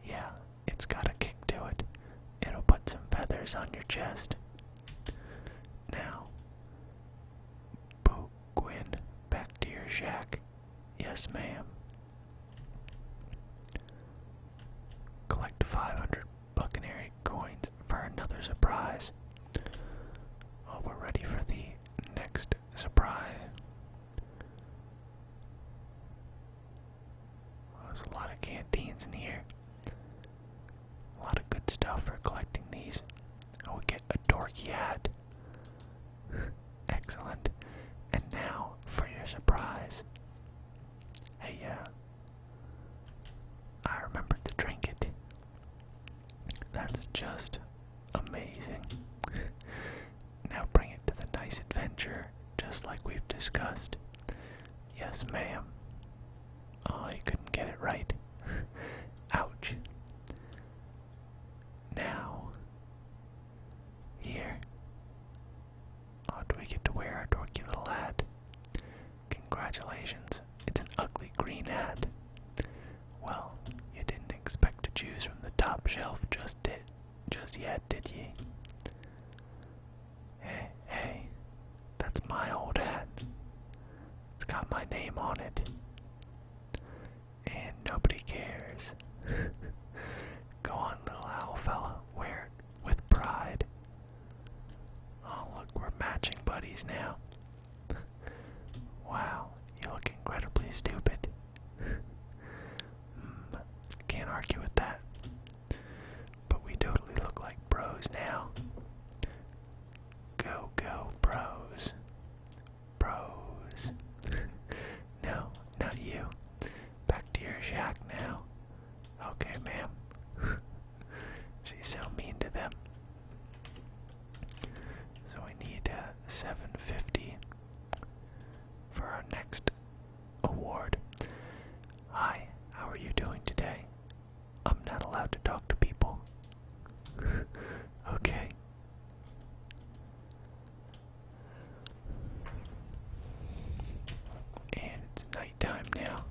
S1: Yeah, it's got a kick to it. It'll put some feathers on your chest. Now, Boo Gwyn, back to your shack. Yes, ma'am. Collect 500 Buccaneer coins for another surprise. Oh, we're ready for the next surprise. there's a lot of canteens in here. A lot of good stuff for collecting these. I oh, will get a dorky hat. Excellent. And now for your surprise. Hey, yeah. Uh, I remembered to drink it. That's just amazing. now bring it to the nice adventure, just like we've discussed. Yes, ma'am. Oh, you couldn't get it right. Ouch. Now, here. Oh, do we get to wear our dorky little hat? Congratulations, it's an ugly green hat. Well, you didn't expect to choose from the top shelf just did, just yet, did ye? Hey, hey, that's my old hat. It's got my name on it. And nobody cares. Go on, little owl fella, wear it with pride. Oh, look, we're matching buddies now. wow, you look incredibly stupid. Hmm, can't argue with that. But we totally look like bros now. Go go bros. Bros. no, not you. Back to your shack now. Okay, ma'am. She's so mean to them. So we need uh, 750 for our next award. Hi, how are you doing today? I'm not allowed to talk to people. okay. And it's nighttime now.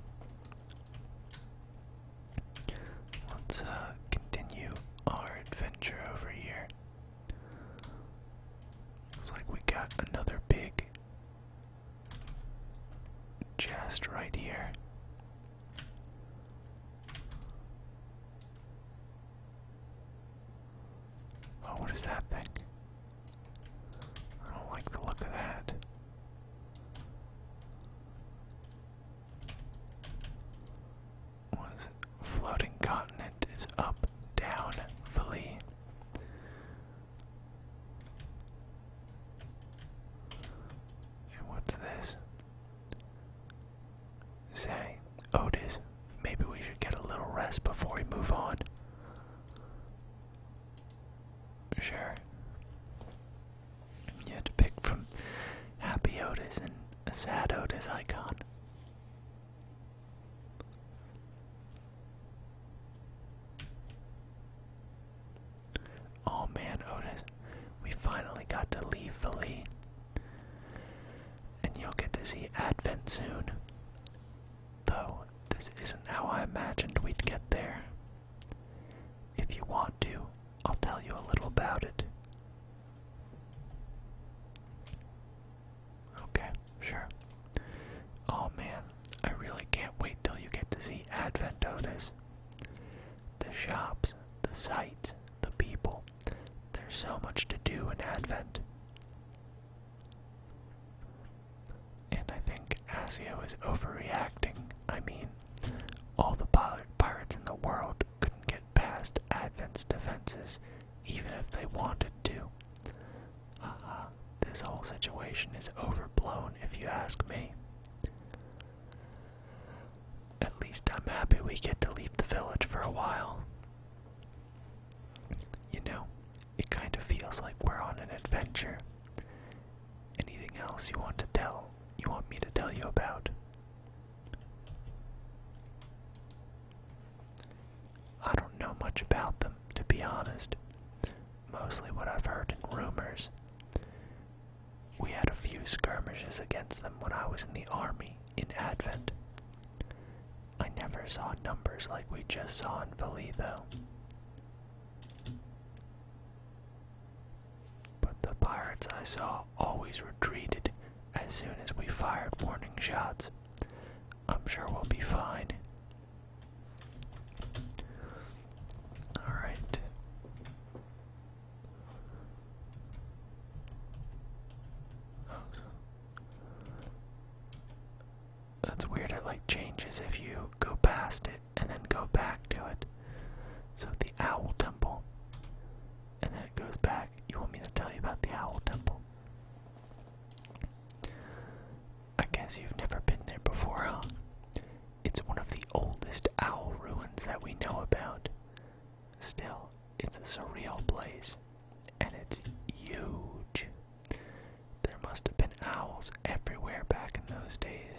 S1: Let's uh, continue our adventure over here. Looks like we got another big just right here. Oh, what is that thing? I don't like the look of that. What is Floating continent is up, down, Valley. And what's this? Say, Otis, maybe we should get a little rest before we move on. Sure. You had to pick from Happy Otis and Sad Otis icon. Oh man, Otis, we finally got to leave Philly. And you'll get to see Advent soon. Though, this isn't how I imagined we'd get there. If you want to, I'll tell you a little about it. Okay, sure. Oh man, I really can't wait till you get to see Advent Otis the shops, the sights, the people. There's so much to do in Advent. And I think Asio is overreacting. I mean, all the pirates in the world couldn't get past Advent's defenses, even if they wanted to. Uh, this whole situation is overblown, if you ask me. At least I'm happy we get to leave the village for a while. You know, it kind of feels like we're on an adventure. Anything else you want to tell, you want me to tell you about? I don't know much about them, to be honest. Mostly what I've heard in rumors. We had a few skirmishes against them when I was in the army in Advent. I never saw numbers like we just saw in Valley, But the pirates I saw always retreated as soon as we fired warning shots. I'm sure we'll be fine. Alright. That's weird, it like changes if you go past it and then go back to it. So the Owl Temple, and then it goes back. You want me to tell you about the Owl Temple? I guess you've never been there before, huh? It's one of the oldest owl ruins that we know about. Still, it's a surreal place, and it's huge. There must have been owls everywhere back in those days.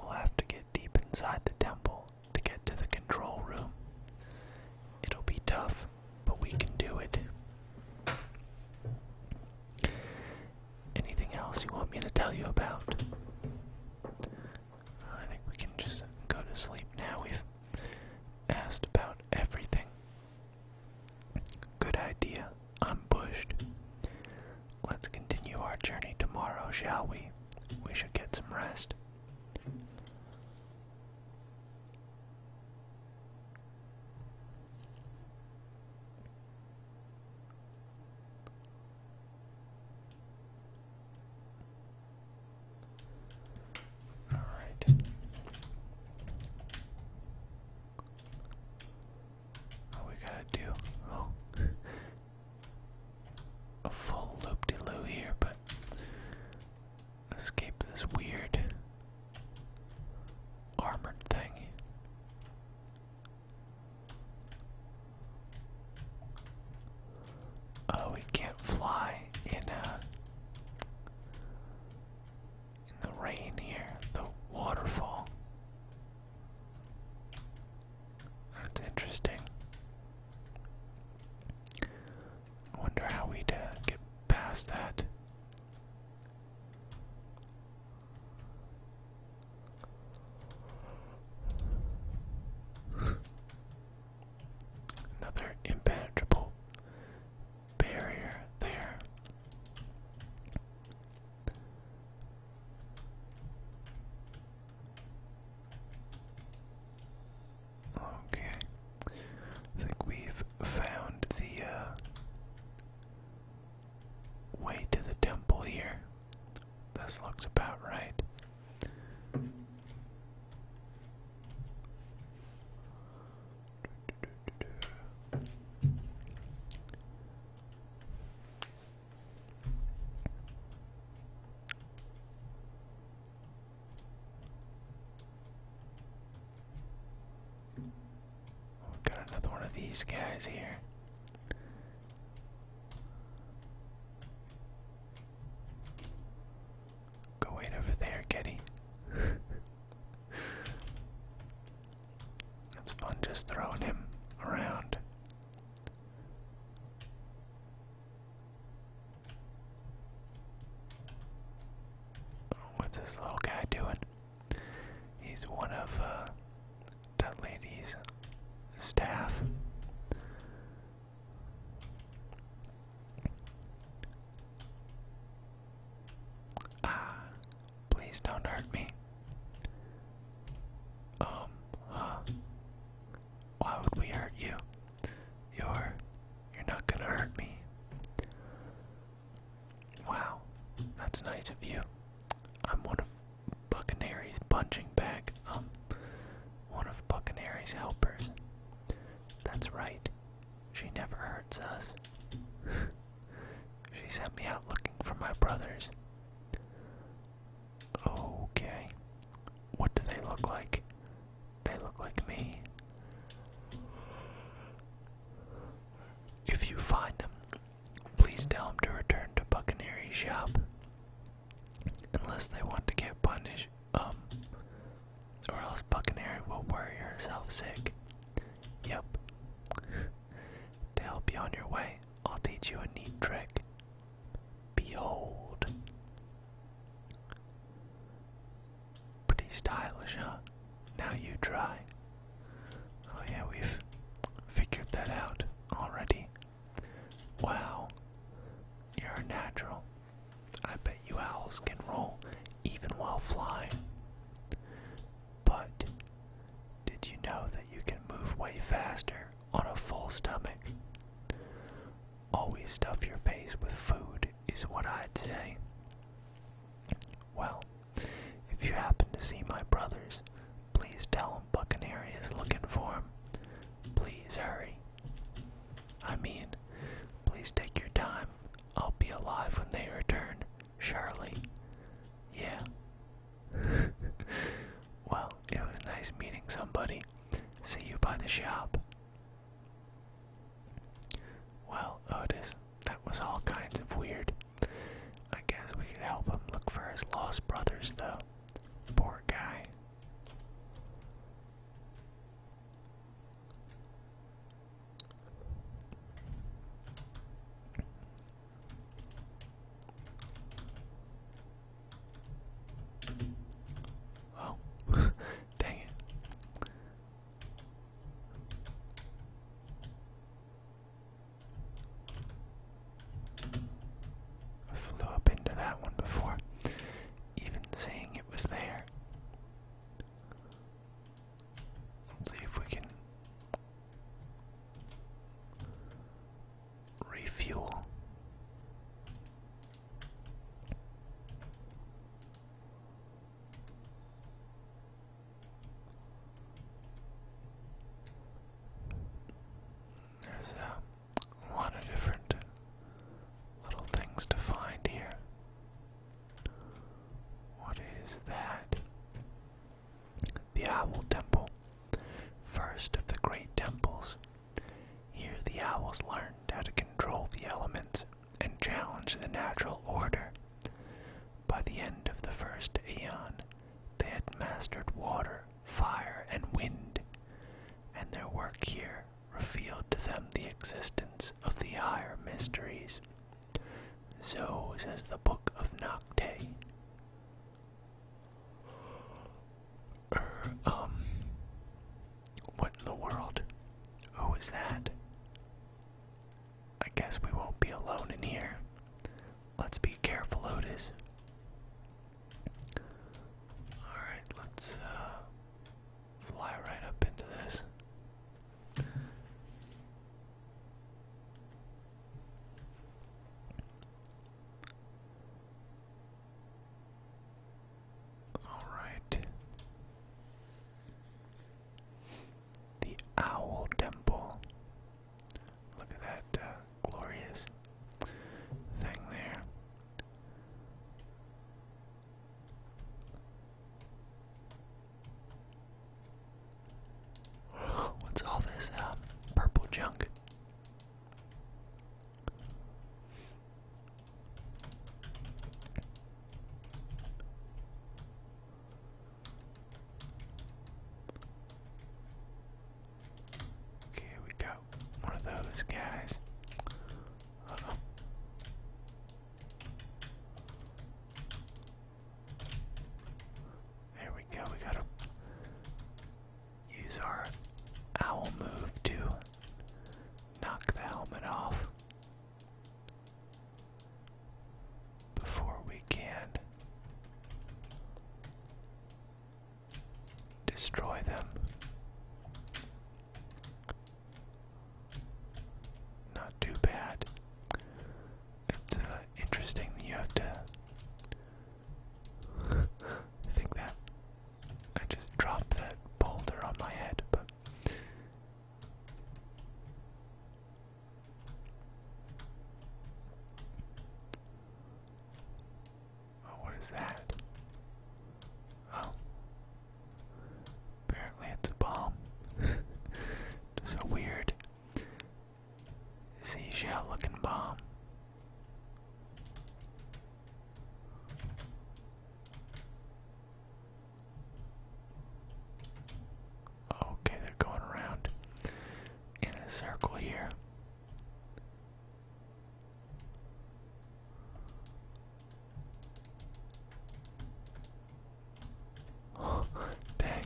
S1: We'll have to get deep inside the temple to get to the control room. It'll be tough, but we can do it. Anything else you want me to tell you about? I think we can just go to sleep now. We've asked about everything. Good idea. I'm bushed. Let's continue our journey tomorrow, shall we? We should get some rest. All right. we gotta do oh, a full loop de loo here, but escape this weird armored thing. Oh, we can't fly in uh in the rain here, the waterfall. That's interesting. wonder how we'd uh, get past that. Another impenetrable barrier there. Okay. I think we've found the uh, way to the temple here. This looks about right. We've got another one of these guys here. Go wait over there, Getty. it's fun just throwing him around. What's this little guy doing? He's one of uh, that lady's staff. Ah, please don't hurt me. Um, huh? Why would we hurt you? You're, you're not gonna hurt me. Wow, that's nice of you. I'm one of Buccaneers punching back. Um, one of Buccaneers' helpers. That's right. She never hurts us. she sent me out looking for my brothers. Okay. What do they look like? They look like me. If you find them, Please tell him to return to Buccaneer's shop. Unless they want to get punished, um, or else Buccaneer will worry herself sick. Yep. to help you on your way, I'll teach you a neat trick. Behold. Pretty stylish, huh? Now you try. Oh, yeah, we've figured that out already. Wow, you're a natural. I bet you owls can roll even while flying. But did you know that you can move way faster on a full stomach? Always stuff your face with food is what I'd say. Well, if you happen to see my brothers Please tell him Buccaneer is looking for him.
S2: Please hurry. I mean, please take your time. I'll be alive when they return, Charlie.
S1: Yeah. well, it was nice meeting somebody. See you by the shop. Well, Otis, that was all kinds of weird. I guess we could help him look for his lost brothers, though. Poor guy. Oh, dang it. I flew up into that one before, even saying it was there. Let's see if we can refuel. There's a a lot of different little things to find here. What is that? The Owl Temple. First of the great temples. Here the owls learned how to control the elements and challenge the natural order. By the end of the first aeon, they had mastered water, fire, and wind, and their work here revealed to them the existence of the higher mysteries. So says the Book of Nocte. Er, um, what in the world? Who is that? I guess we won't be alone in here. Let's be careful, Otis. Alright, let's uh, fly right up into this. Alright. The Owl Temple. Look at that uh, glorious thing there. What's all this uh, purple junk? here we go. One of those guys. There we go. We gotta use our owl move to knock the helmet off before we can destroy them. Not too bad. It's uh, interesting that you have to. think that I just dropped that boulder on my head, but. Oh, what is that? Oh. Apparently it's a bomb. Just a weird seashell looking bomb. Okay, they're going around in a circle here. dang.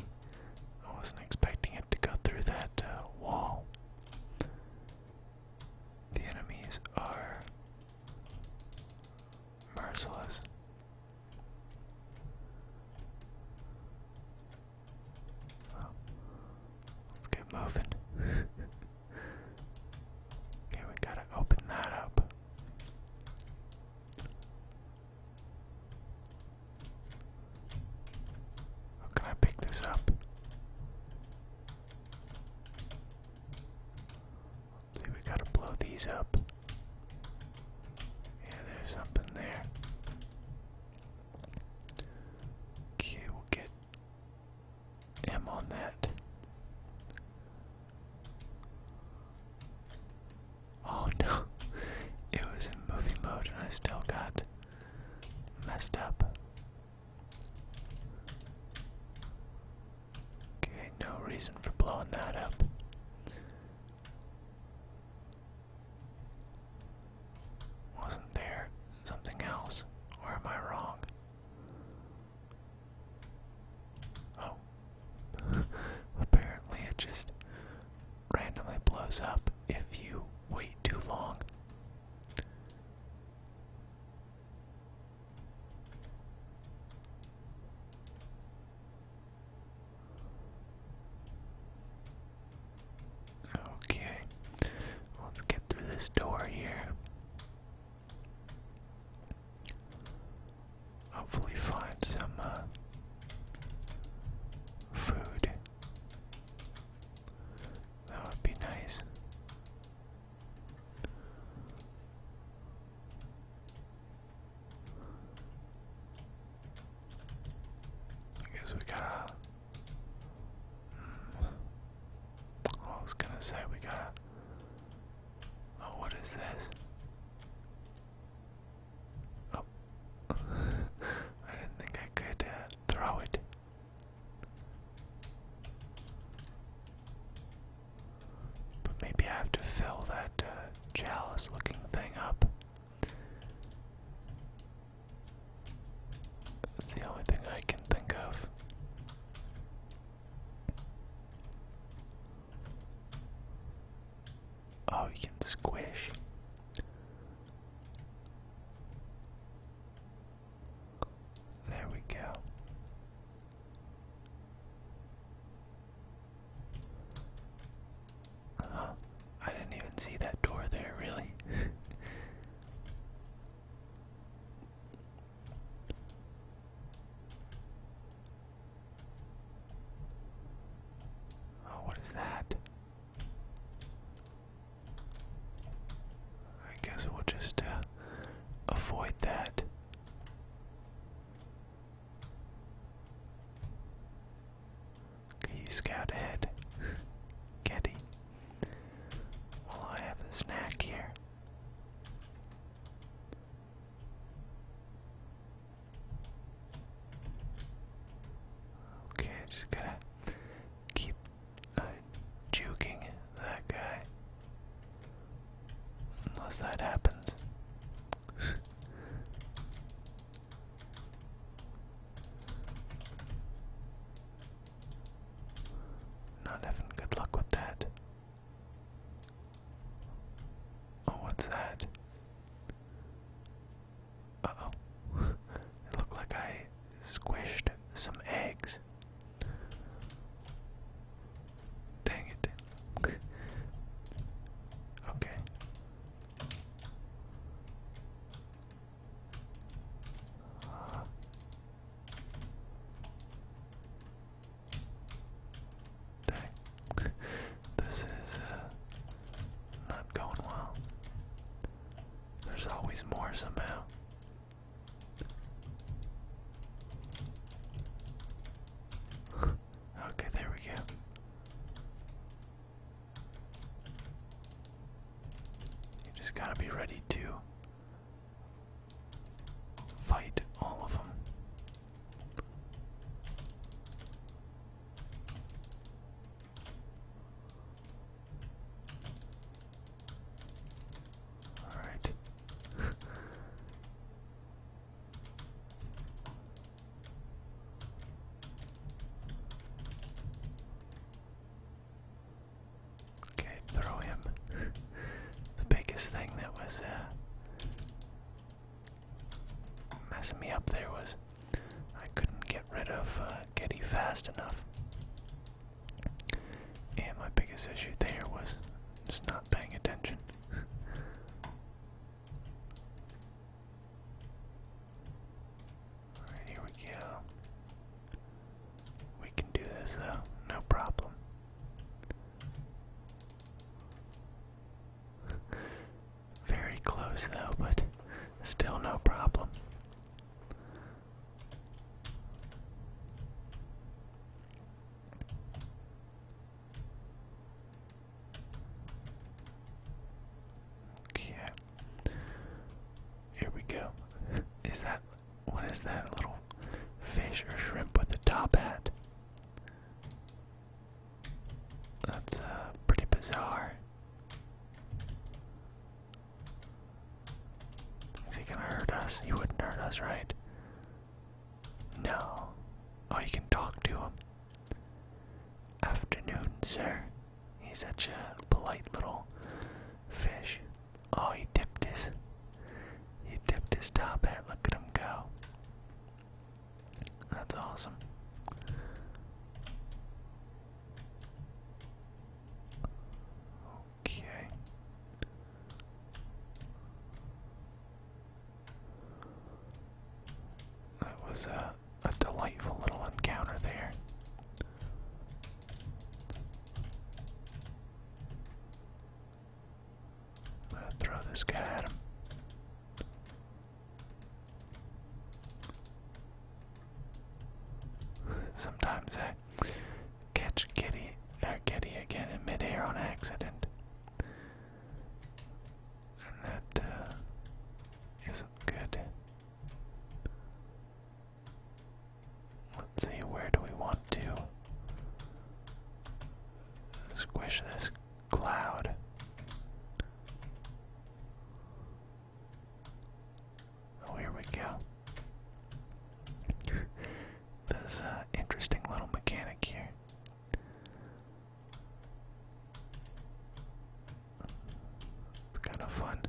S1: I wasn't expecting it to go through that uh, wall. The enemies are merciless. let's get moving. Okay, we gotta open that up. How oh, can I pick this up? see, we gotta blow these up. Yeah, there's something there. Okay, we'll get am on that. Oh no, it was in movie mode and I still got messed up. Okay, no reason for blowing that up. Wasn't there something else? Or am I wrong? Oh. Apparently it just randomly blows up if you wait too long. Okay, let's get through this door here. Hopefully, find some uh, food. That would be nice. I guess we gotta I hmm. was gonna say we gotta. Oh, what is this? Oh, I didn't think I could uh, throw it. But maybe I have to fill that uh, chalice looking thing up. That's the only thing I can think of. Oh, you can squish. There we go. I didn't even see that door there, really. Oh, what is that? I guess we'll just uh, avoid that. you scout ahead? Caddy. Well, I have a snack here. Okay, just gotta keep uh, juking that guy. Unless that happens. Not having good luck with that. Oh, what's that? Uh oh. it looked like I squished some eggs. Dang it. okay. Dang. this is uh, not going well. There's always more somehow. okay, there we go. You just gotta be ready to Fight all of them. All right. Okay, throw him. the biggest thing that was uh, messing me up there was I couldn't get rid of uh, Getty fast enough. And my biggest issue there was just not paying attention. Alright, here we go. We can do this though, no problem. Very close though, but still no problem. Okay. Here we go. Is that what is that? little fish or shrimp with a top hat. That's uh, pretty bizarre. Is he gonna hurt us? He wouldn't hurt us, right? No. Oh, you can talk to him. Afternoon, sir. He's such a polite little fish. Oh, he dipped his. He dipped his top hat. Look at him go. That's awesome. Okay. That was a, a delightful little encounter there. I'm throw this guy at him. Sometimes I catch Kitty, not Kitty again in midair on accident. And that uh, not good. Let's see, where do we want to squish this cloud? Oh, here we go. There's uh, interesting little mechanic here. It's kind of fun.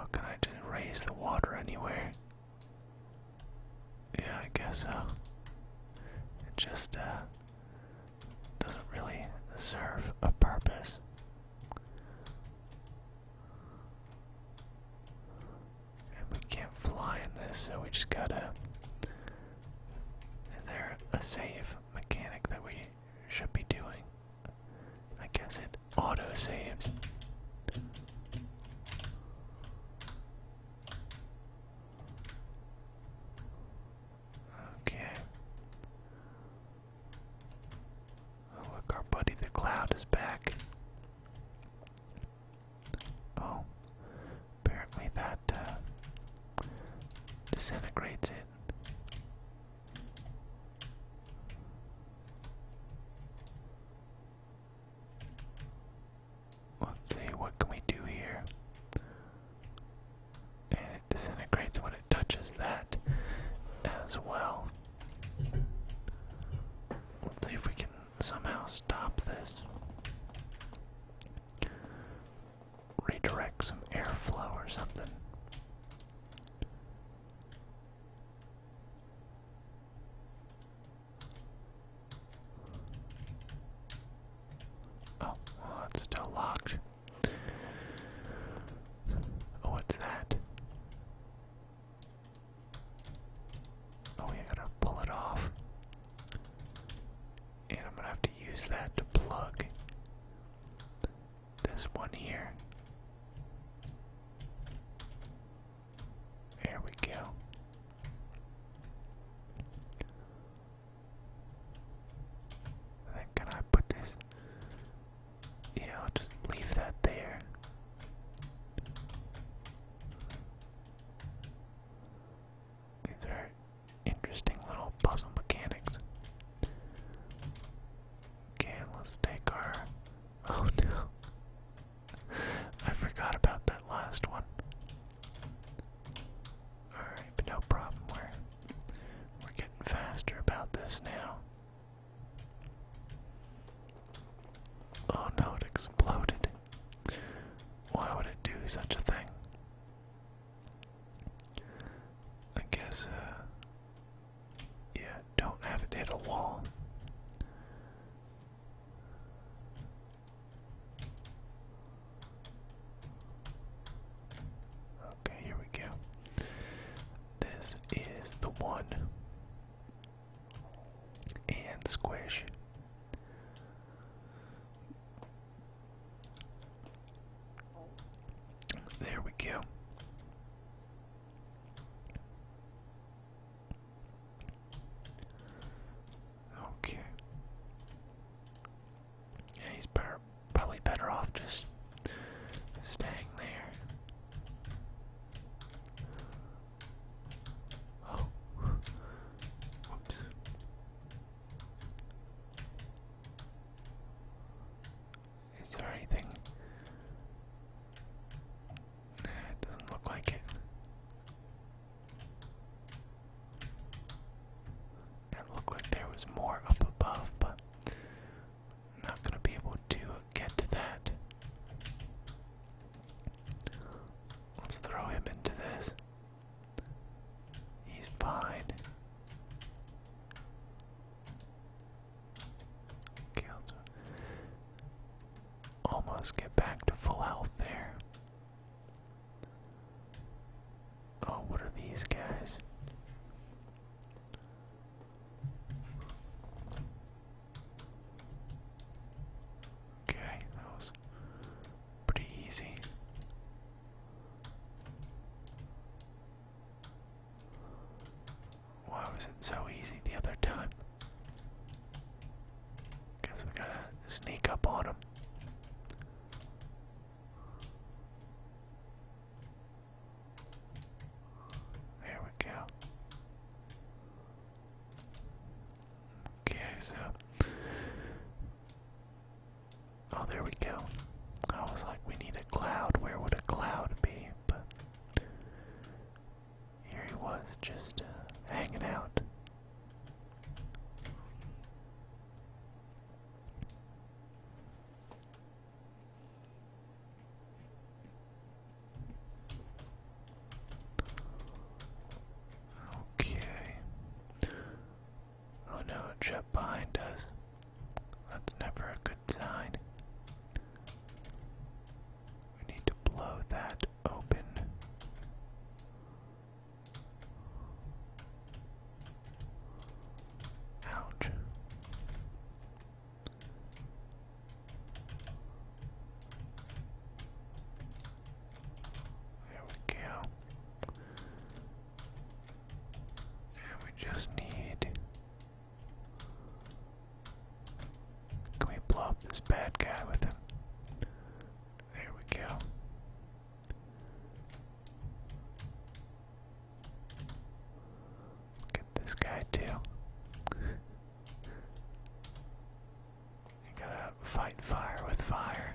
S1: Oh, can I just raise the water anywhere? Yeah, I guess so. It just uh, doesn't really serve a purpose. And we can't fly in this, so we just gotta. Is there a save mechanic that we should be doing? I guess it auto saved. Okay. Oh, look, our buddy the cloud is back. Oh, apparently that uh, disintegrates it. Let's see, what can we do here? And it disintegrates when it touches that as well. Let's see if we can somehow stop this. Redirect some airflow or something. Oh, well, oh, it's still locked. Oh, what's that? Oh, we gotta pull it off. And I'm gonna have to use that to plug this one here. There we go. Then can I put this? Yeah, I'll just leave that there. These are interesting little puzzle mechanics. Okay, let's take our. Oh no. I forgot about that last one. Alright, no problem. We're, we're getting faster about this now. Oh no, it exploded. Why would it do such a thing? I guess, uh. Yeah, don't have it hit a wall. Okay, here we go. This is the one. And squish. There we go. Okay. Yeah, he's better, probably better off just staying there. Oh, whoops. Is there anything? it doesn't look like it. It looked like there was more up above, but not going to be able to get to that. Let's throw him into this. He's fine. Okay, Almost get back to full health there. Oh, what are these guys? Okay, that was pretty easy. Why was it so easy the other time? Guess we gotta sneak up on him. There we go. Okay, so. Oh, there we go. I was like, we need a cloud. Where would a cloud be? But here he was, just uh, hanging out. Okay. Oh no, jet behind us. That's never a good sign. We need to blow that open. Ouch. There we go. And we just need can we blow up this bad guy with him? There we go. Get this guy too. gotta fight fire with fire.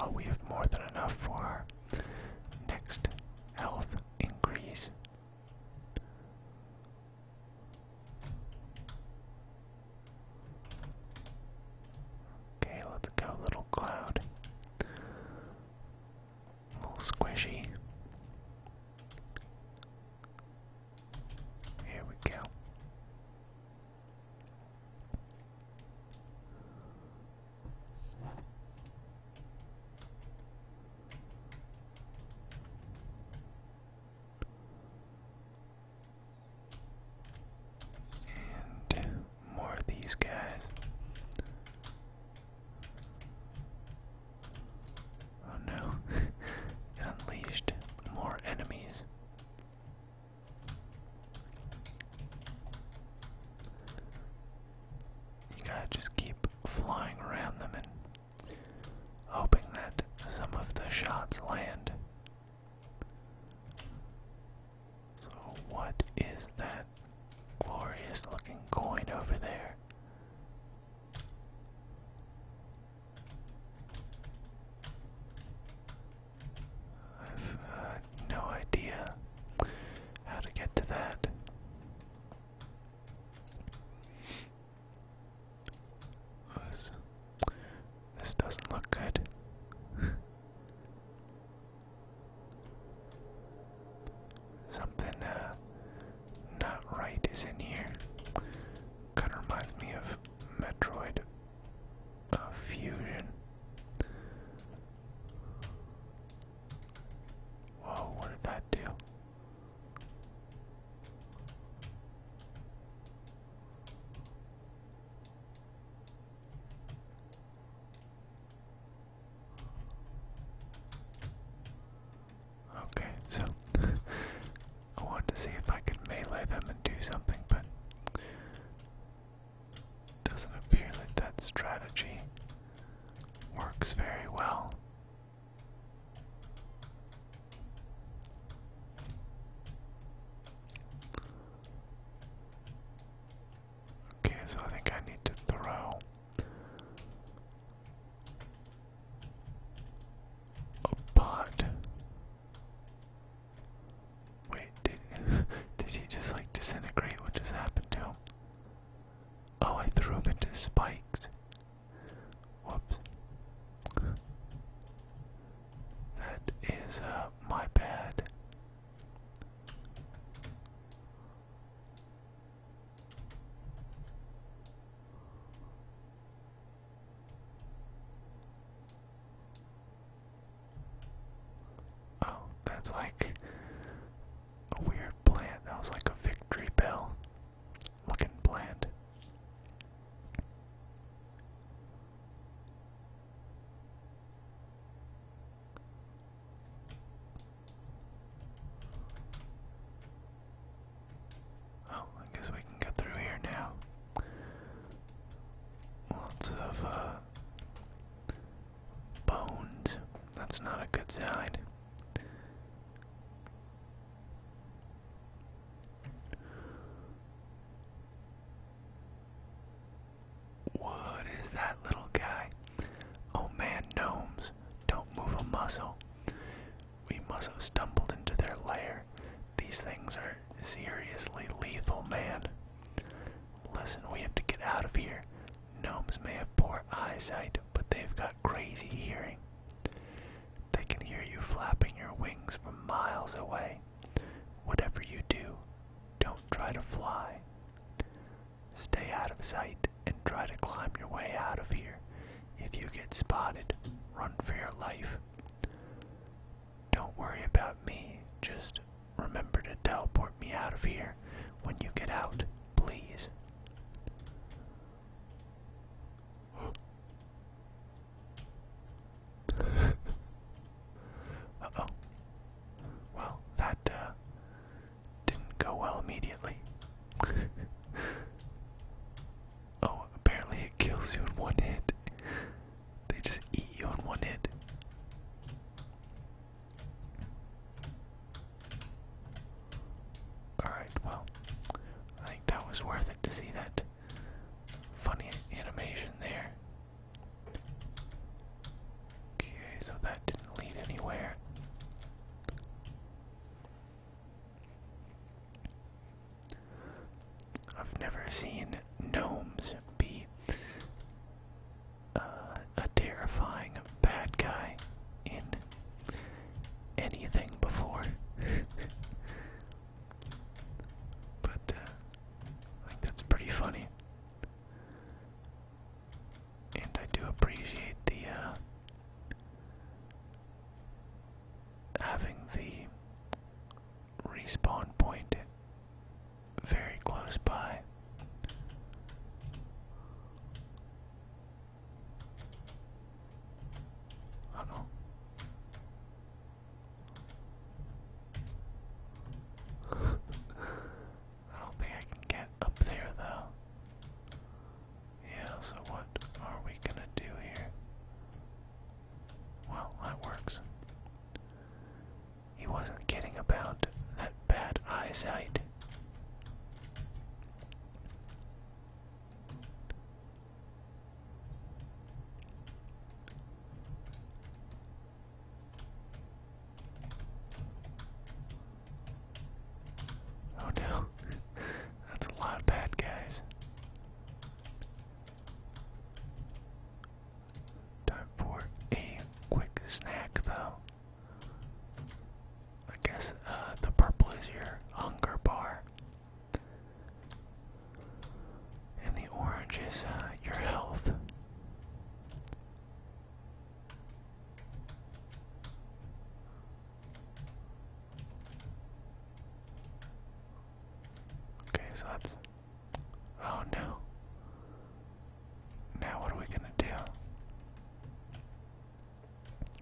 S1: Oh, we have more than enough for our next health increase. Okay, let's go, little cloud. Little squishy. Here we go. And more of these guys. Oh no, it unleashed more enemies. You gotta just keep flying around them and hoping that some of the shots land. So, what is that glorious looking coin over there? I've uh, no idea how to get to that. Oh, this, doesn't look good. Something uh, not right is in here. Kind of reminds me of Metroid uh, Fusion. Whoa, what did that do? Okay, so I want to see if I can melee them and do something, but doesn't appear that that strategy works very well. Okay, so I think I need to throw a pot. Wait, did did he just like disintegrate? What just happened to him? Oh, I threw him into spikes. Whoops. That is uh, my bad. Oh, that's like a weird plant. That was like a victory bell looking bland. Oh, I guess we can get through here now. Lots of uh, bones. That's not a good sign. What is that little guy? Oh man, gnomes, don't move a muscle. We must have stumbled into their lair. These things are seriously lethal, man. Listen, we have to get out of here. Gnomes may have poor eyesight, but they've got crazy hearing. They can hear you flapping your wings from miles away. Whatever you do, don't try to fly. Stay out of sight and try to climb your way out of here. If you get spotted, run for your life. Don't worry about me, just remember to teleport me out of here when you get out, please oh Well, that uh, didn't go well immediately. oh, apparently it kills you in one hit. They just eat you in one hit. Alright, well, I think that was worth it to see that funny animation there. Okay, so that didn't lead anywhere. I've never seen gnomes be uh, a terrifying bad guy in anything before. but uh, that's pretty funny. And I do appreciate the uh, having the respawn point very close by. I don't I don't think I can get up there though. Yeah, so what are we gonna do here? Well, that works. He wasn't kidding about that bad eyesight. Oh no, that's a lot of bad guys. Time for a quick snack, though. I guess uh, the purple is your hunger bar. And the orange is uh, your health. Okay, so that's. Oh no. Now what are we gonna do?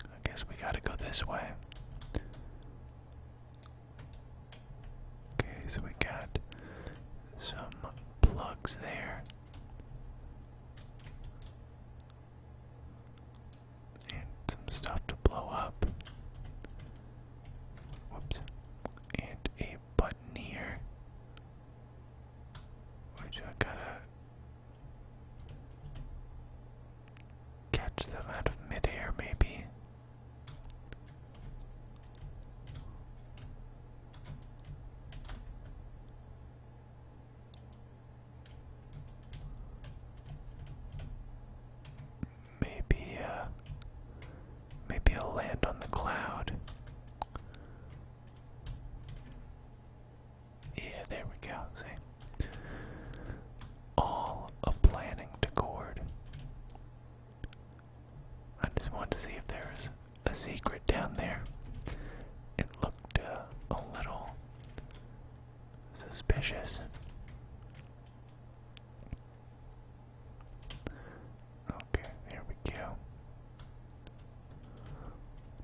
S1: I guess we gotta go this way. Okay, so we got some plugs there. And some stuff to blow up. Whoops. And a button here. I gotta Catch them out of midair, maybe. Maybe, uh, maybe I'll land on the cloud. Yeah, there we go. See? All a planning decord. I just wanted to see if there a secret down there. It looked uh, a little suspicious. Okay, there we go.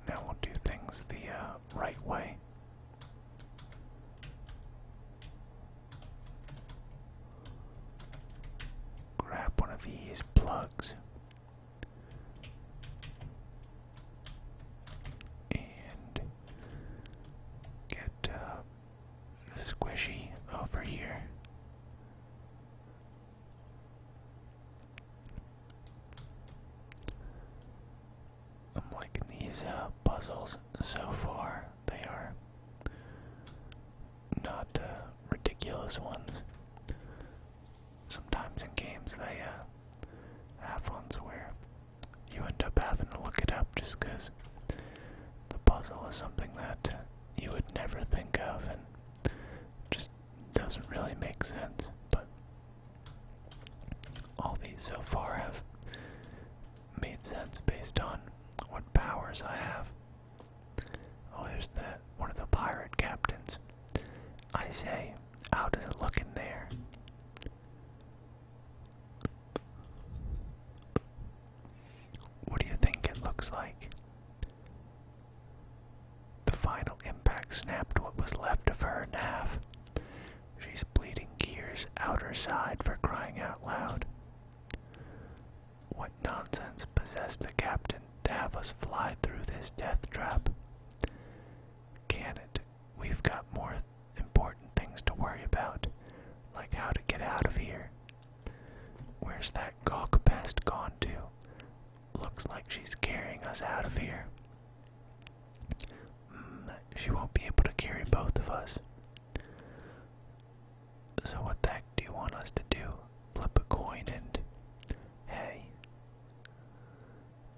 S1: Now we'll do things the uh, right way. Grab one of these plugs and get uh, squishy over here. I'm liking these uh, puzzles so far. They are not uh, ridiculous ones. Sometimes in games they uh, have ones where you end up having to look it up just because the puzzle is something that you would never think of and just doesn't really make sense. But all these so far have made sense based on what powers I have. Oh, there's the one of the pirate captains. I say, how does it look in there? What do you think it looks like? The final impact snapped what was left of her in half. She's bleeding gears out her side for crying out loud. What nonsense possessed the captain to have us fly through this death trap? Can it? We've got more important things to worry about, like how to get out of here. Where's that gawk pest gone to? Looks like she's carrying us out of here. Mm, she won't be able to carry both of us. So, what the heck do you want us to do? Flip a coin and. Hey,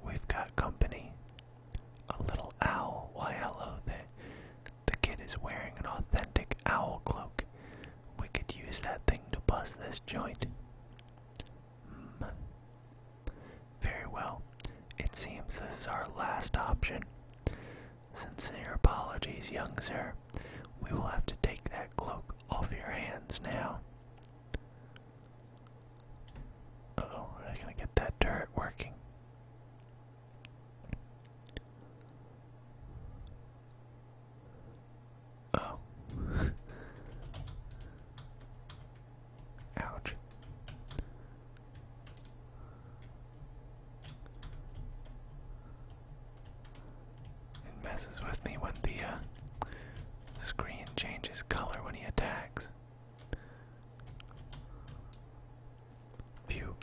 S1: we've got company. A little owl. Why, hello, there. the kid is wearing an authentic owl cloak. We could use that thing to bust this joint. Mm. Very well. It seems this is our last option. Sincere apologies, young sir. We will have to take that cloak off your hands now. oh, we're not get that turret working. Oh. Ouch. It messes with me when the uh, screen changes color when he attacks. Phew,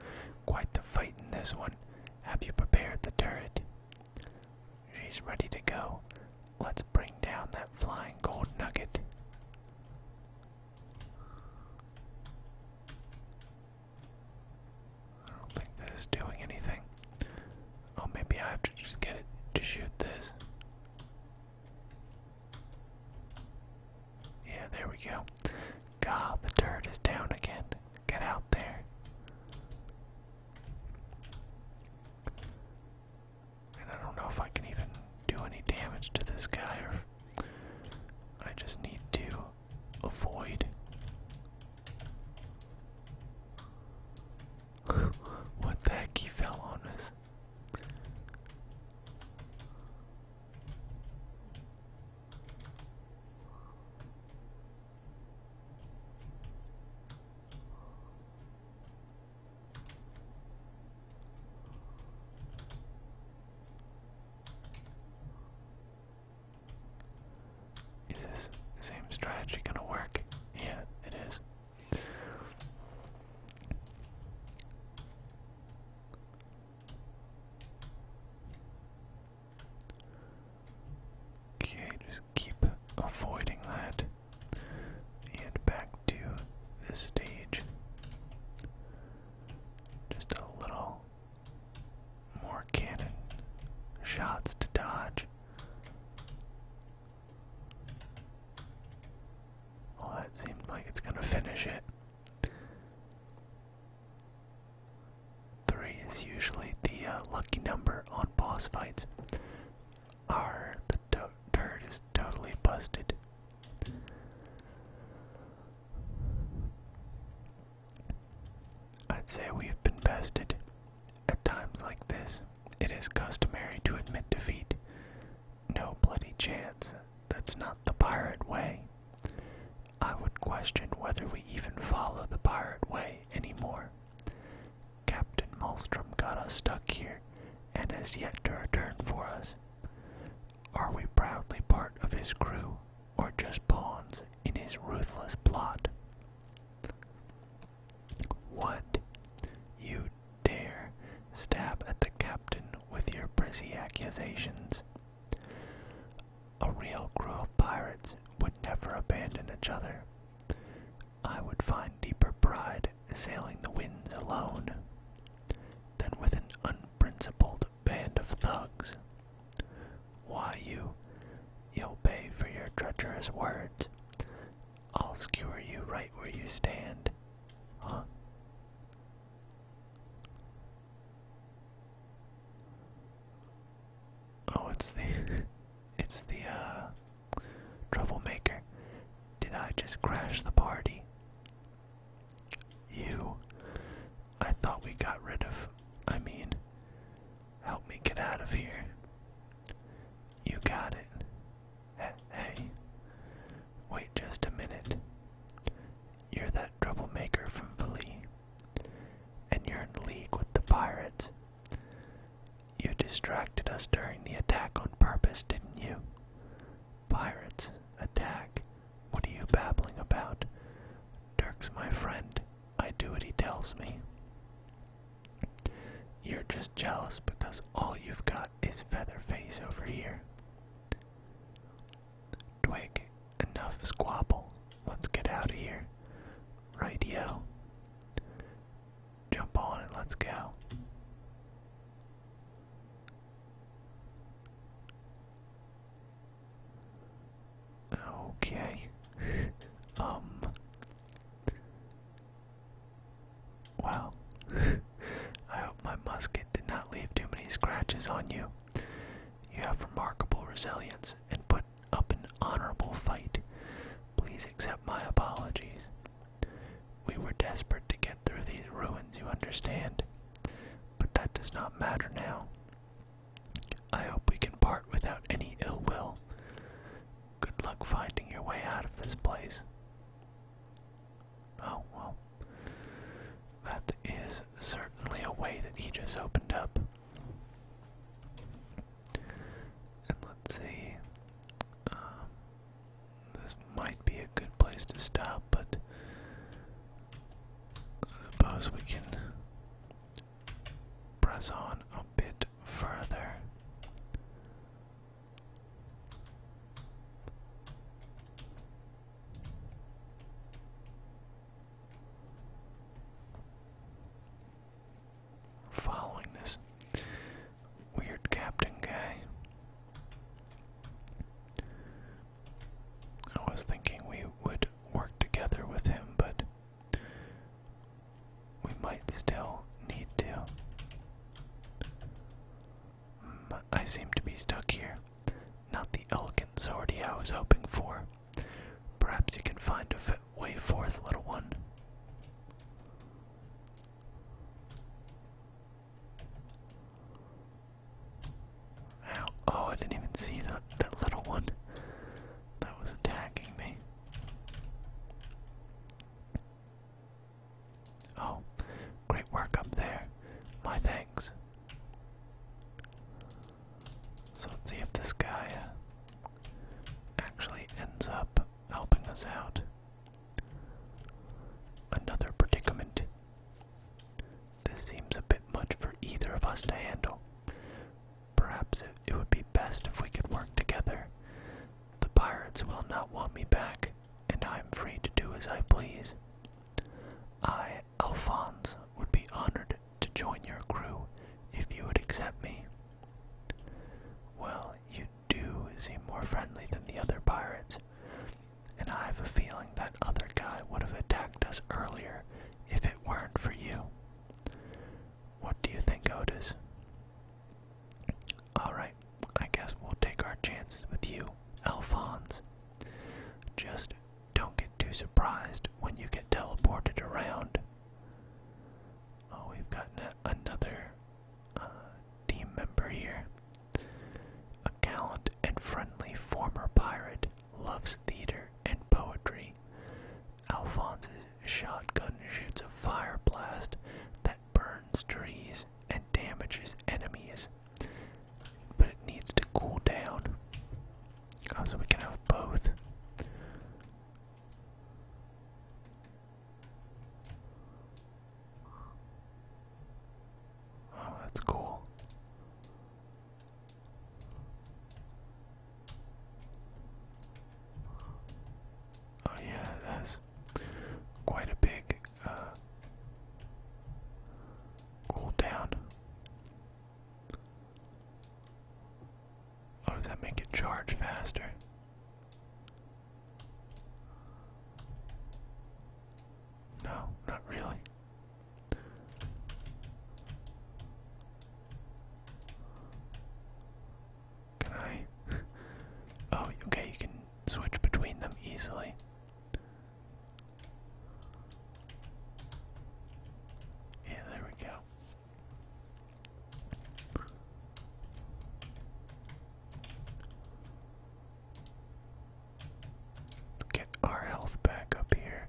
S1: quite the fight in this one. Have you prepared the turret? She's ready to go. Let's bring down that flying gold nugget. I don't think this is doing anything. Oh, maybe I have to just get it to shoot this. Yeah, there we go. God, the turret is down again. Get out there. And I don't know if I can even do any damage to this guy or I just need to avoid. what the heck? He fell on us. Is this same strategy gonna work? Yeah, it is. Okay, just keep avoiding that. And back to this stage just a little more cannon shots to dodge. Well, that seemed like it's going to finish it. Three is usually the uh, lucky number on boss fights. Our the turret totally busted. I'd say we've been bested. At times like this, it is customary to admit defeat. No bloody chance. That's not the pirate way. I would question whether we even follow the pirate way anymore. Captain Malmstrom got us stuck here and has yet to return for us. Are we proudly part of his crew, or just pawns in his ruthless plot? What? You dare stab at the captain with your prissy accusations? A real crew of pirates would never abandon each other. I would find deeper pride sailing the winds alone than with an unprincipled band of thugs. Why, you, you'll pay for your treacherous words. I'll skewer you right where you stand. Huh? Oh, it's the, it's the, uh, troublemaker. Did I just crash the party? You. I thought we got rid of. I mean, help me get out of here. You got it. Hey, Wait just a minute. You're that troublemaker from Valley. And you're in league with the pirates. You distracted us during the attack on purpose, didn't you? Pirates, attack! What are you babbling about? Dirk's my friend. I do what he tells me. You're just jealous because all you've got is Featherface over here. Twig, enough squabble. Let's get out of here. right, Yo? Jump on and let's go. Okay. um. Well, I hope my musket did not leave too many scratches on you. You have remarkable resilience and put up an honorable fight. Please accept my apologies. We were desperate to get through these ruins, you understand. But that does not matter now. I hope we can part without any ill will. Good luck finding your way out of this place. Oh, well. That is certainly a way that he opened up. And let's see. Um, this might be a good place to stop, but suppose we can press on a bit further. Following this weird captain guy. I was thinking we would work together with him, but we might still need to. I seem to be stuck here. Not the elegant sortie I was hoping for. Perhaps you can find a way forth, little one. Ow. Oh, I didn't even see that, that little one that was attacking me. Oh, great work up there. My thanks. So let's see if this guy uh, actually ends up helping us out. Another predicament. This seems a bit much for either of us to handle. Perhaps it, would be best if we could work together. The pirates will not want me back, and I am free to do as I please. I, Alphonse, would be honored to join your crew if you would accept me. Well, you do seem more friendly than the other pirates and I have a feeling that other guy would have attacked us earlier if it weren't for you. What do you think, Otis? Alright, I guess we'll take our chances with you, Alphonse. Just don't get too surprised when you get teleported around.
S2: Oh, we've gotten another uh, team member here.
S1: A gallant and friendly former pirate loves theater and poetry. Alphonse's shotgun shoots a fire blast that burns trees and damages enemies, but it needs to cool down. Uh, so we can have both. Oh, that's cool. Oh yeah, that's quite a big uh, Oh, does that make it charge faster? No, not really. Can I? Oh, okay, you can switch between them easily. Yeah, there we go. Let's get our health back up here.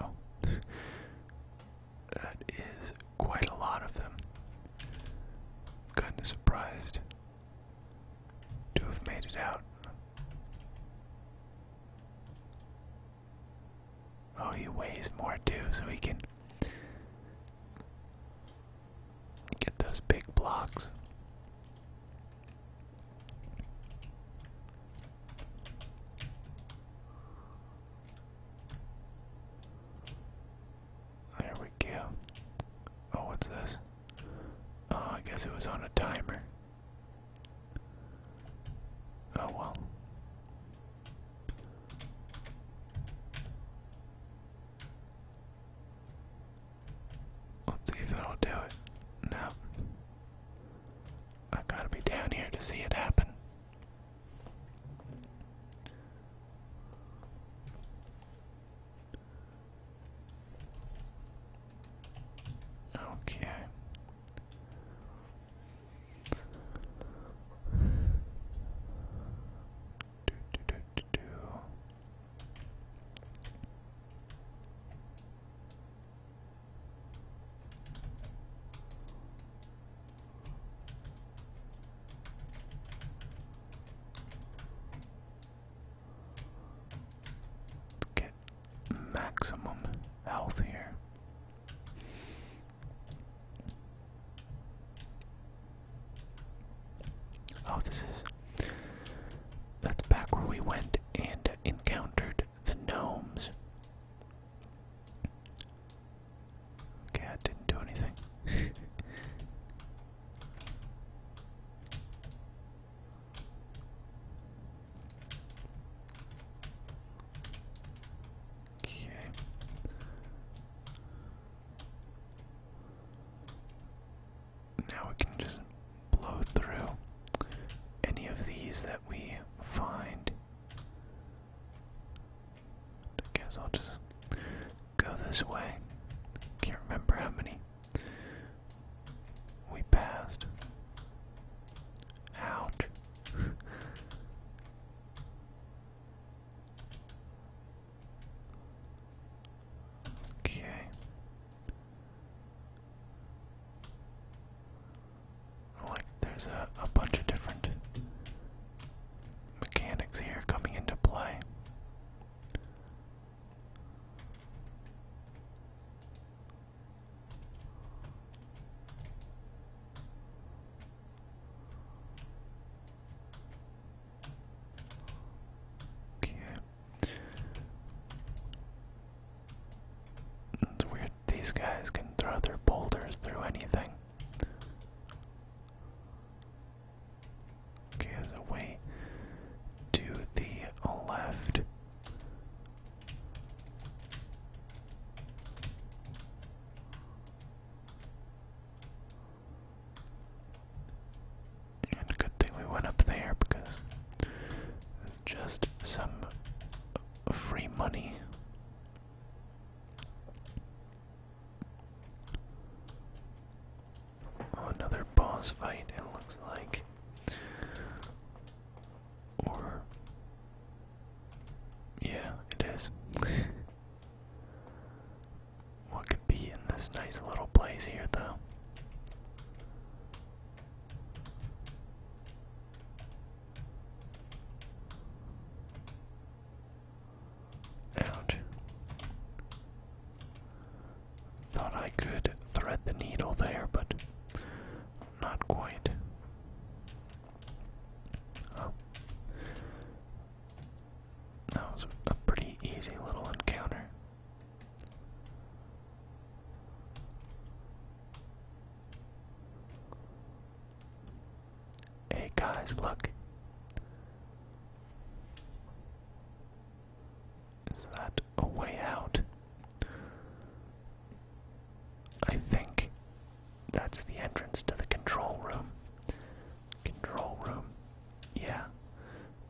S1: oh. that is quite a lot of them. Kind of surprised to have made it out. Oh, he weighs more too, so he can get those big blocks. There we go. Oh, what's this? Oh, I guess it was on a timer. Oh well. Let's see if it'll do it. No. I gotta be down here to see it happen. Okay. Do, do, get maximum health here. Oh, this is. That's back where we went and encountered the gnomes. Okay, that didn't do anything. Okay. Now we can just blow through any of these that we find. guess I'll just go this way. Can't remember how many we passed. Ouch okay. Like there's a, a bunch of different mechanics here coming into play. Okay. It's weird these guys can throw their boulders through anything. Okay, there's way to the left good thing we went up there because just some free money. Oh, another boss fight, it looks like. Or. Yeah, it is. what could be in this nice little place here, though? Ouch. Thought I could thread the needle there, but not quite. Oh. That was a pretty easy little encounter. Hey guys, look. Is that a way out? I think that's the entrance to the control room. Control room. Yeah.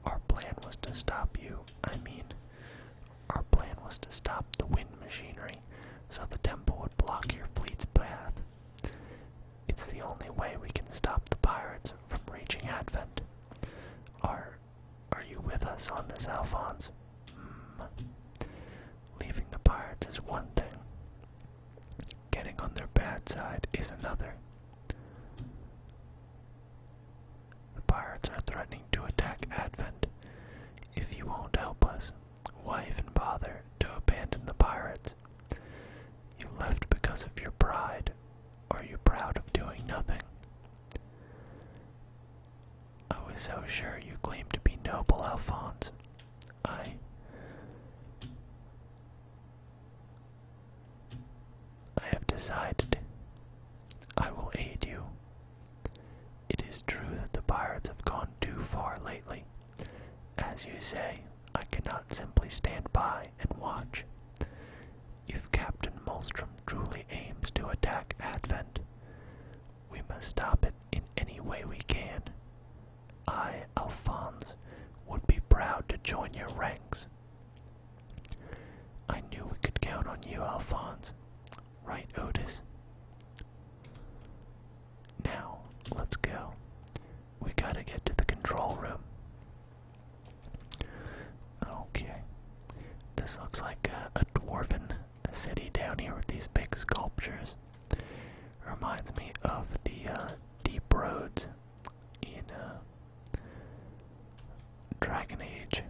S1: Our plan was to stop you. I mean, our plan was to stop the wind machinery so the temple would block your fleet's path. It's the only way we can stop the pirates from reaching Advent. Are, are you with us on this, Alphonse? Hmm. Leaving the pirates is one thing, getting on their bad side is another. The pirates are threatening to attack Advent. If you won't help us, why even bother to abandon the pirates? You left because of your pride. Are you proud of doing nothing? I was so sure you claimed to be noble, Alphonse. I I have decided I will aid you. It is true that the pirates have gone too far lately. As you say, I cannot simply stand by and watch. If Captain Molstrom truly aims to attack Advent, we must stop it in any way we can. I, Alphonse, would be proud to join your ranks. I knew we could count on you, Alphonse. Right, Otis? Now, let's go. We gotta get to the control room. Okay. This looks like a, a dwarven city down here with these big sculptures. Reminds me of the uh, deep roads in uh, Dragon Age.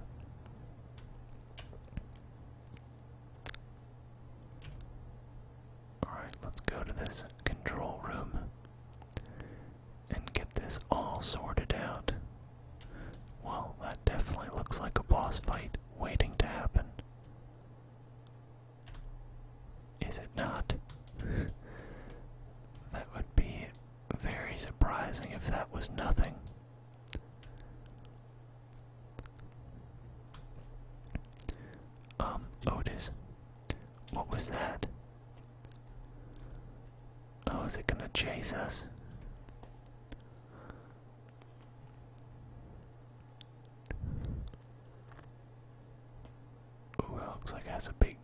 S1: Alright, let's go to this control room and get this all sorted out. Well, that definitely looks like a boss fight waiting to happen. Is it not? that would be very surprising if that was nothing. Um, Otis, what was that? Oh, is it gonna chase us? Oh, it looks like it has a big.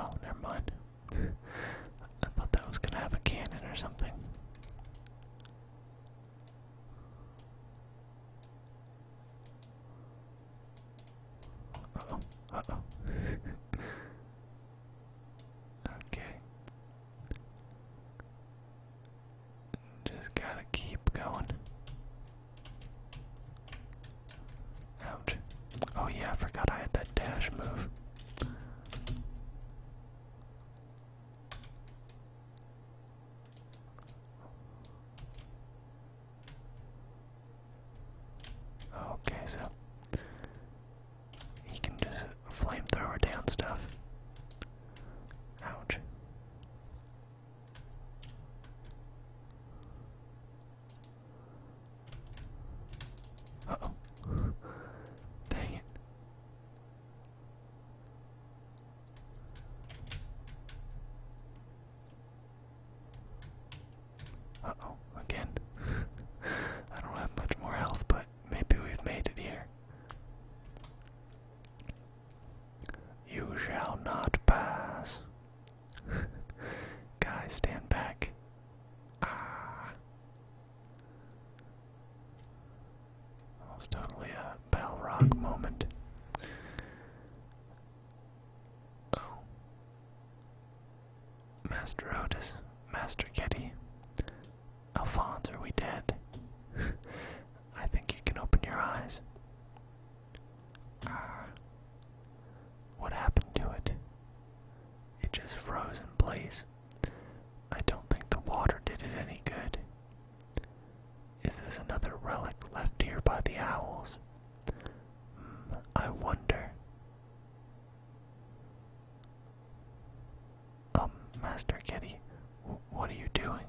S1: Oh, never mind. I thought that was gonna have a cannon or something. oh, oh. okay. Just gotta keep going. Ouch. Oh, yeah, I forgot I had that dash move. Okay, so he can just flamethrower down stuff. Ouch oh. Dang it.
S2: Uh oh, again. I don't have much more health, but maybe we've made it here.
S1: You shall not pass. Guys, stand back. Ah. That totally a Balrog moment. Oh. Master Otis, Master Getty, how fond are we dead? I think you can open your eyes. Ah. What happened to it? It just froze in place. I don't think the water did it any good. Is this another relic left here by the owls? Hmm, I wonder. Um, Master Kitty, what are you doing?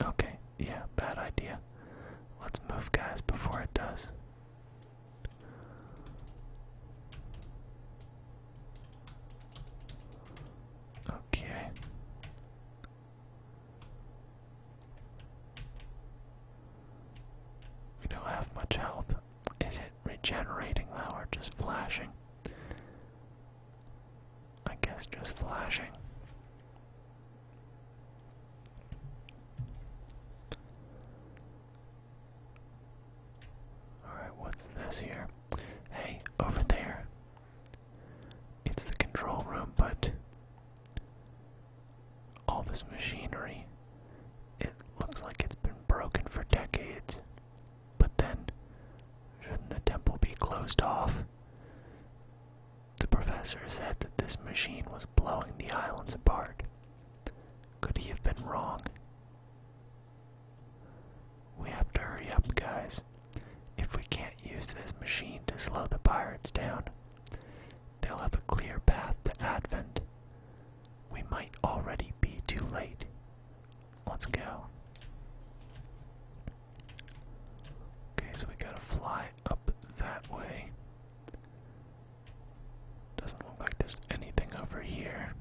S1: Okay, yeah, bad idea. Let's move, guys, before it does. Okay. We don't have much health. Is it regenerating now or just flashing? I guess just flashing. Alright, what's this here? Hey, over there. It's the control room, but all this machinery, it looks like it's been broken for decades. But then, shouldn't the temple be closed off? The professor said that this machine was blowing the islands apart. Could he have been wrong? We have to hurry up, guys. If we can't use this machine to slow the pirates down, they'll have a clear path to Advent. We might already be too late. Let's go. Okay, so we gotta fly up that way. Doesn't look like there's anything over here.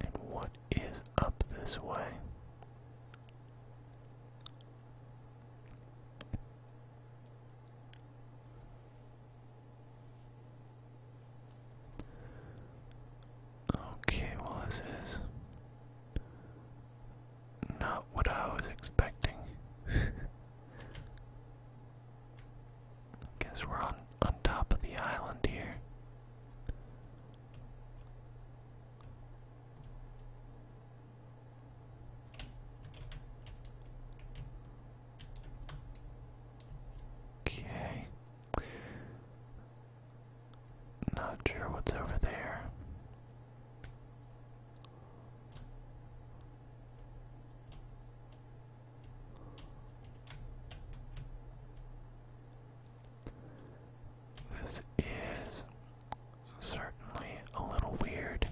S1: And what is up this way? Okay, well, this is not what I was expecting. Guess we're on on top of the island here. Okay. Not sure what's over there. This is certainly a little weird.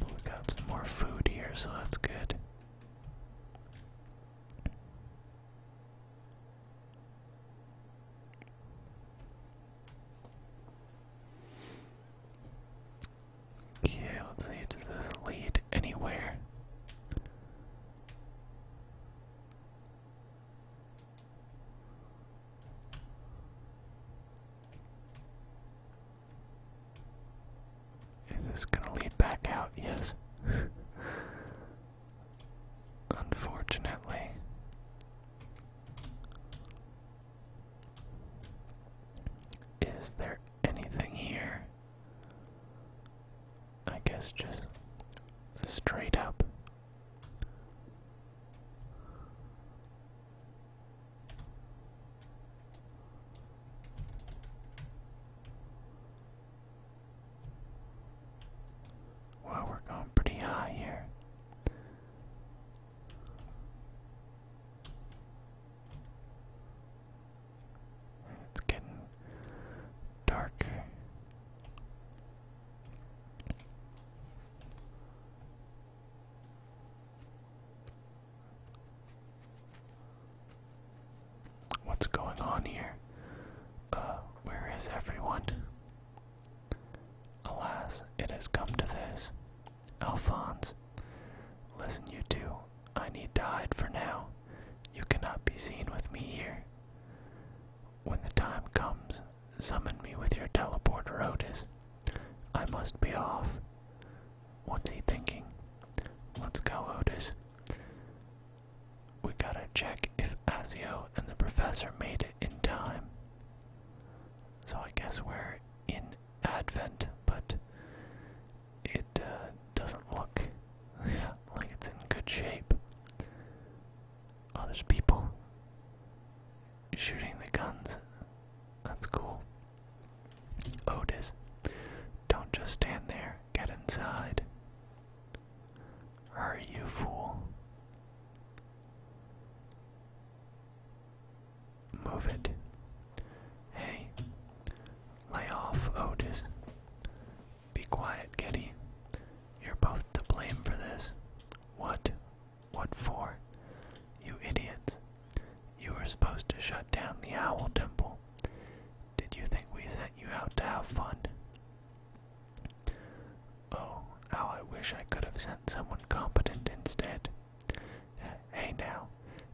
S1: We got some more food here, so that's good. Okay, let's see, does this lead anywhere? Is this gonna lead back out? Yes. Unfortunately. Is there anything here? I guess just straight up Wow, we're going pretty high here. It's getting darker. What's going on here? Uh, where is everyone? Alas, it
S2: has come to this. Alphonse, listen, you two. I need to hide for
S1: now. You cannot be seen with me here. When the time comes, Summon me with your teleporter, Otis. I must be off. What's he thinking? Let's go, Otis. We gotta check if Asio and the professor made it in time. So I guess we're in Advent, but it uh, doesn't look like it's in good shape. Oh, people shooting the guns. That's cool. Otis, don't just stand there. Get inside. Hurry, you fool. Move it. Hey, lay off, Otis. Be quiet, Getty. You're both to blame for this. What? What for? You idiots. You were supposed to shut down the Owl Temple. Did you think we sent you out to have fun? Oh, how I wish I could have sent someone competent instead. Hey now,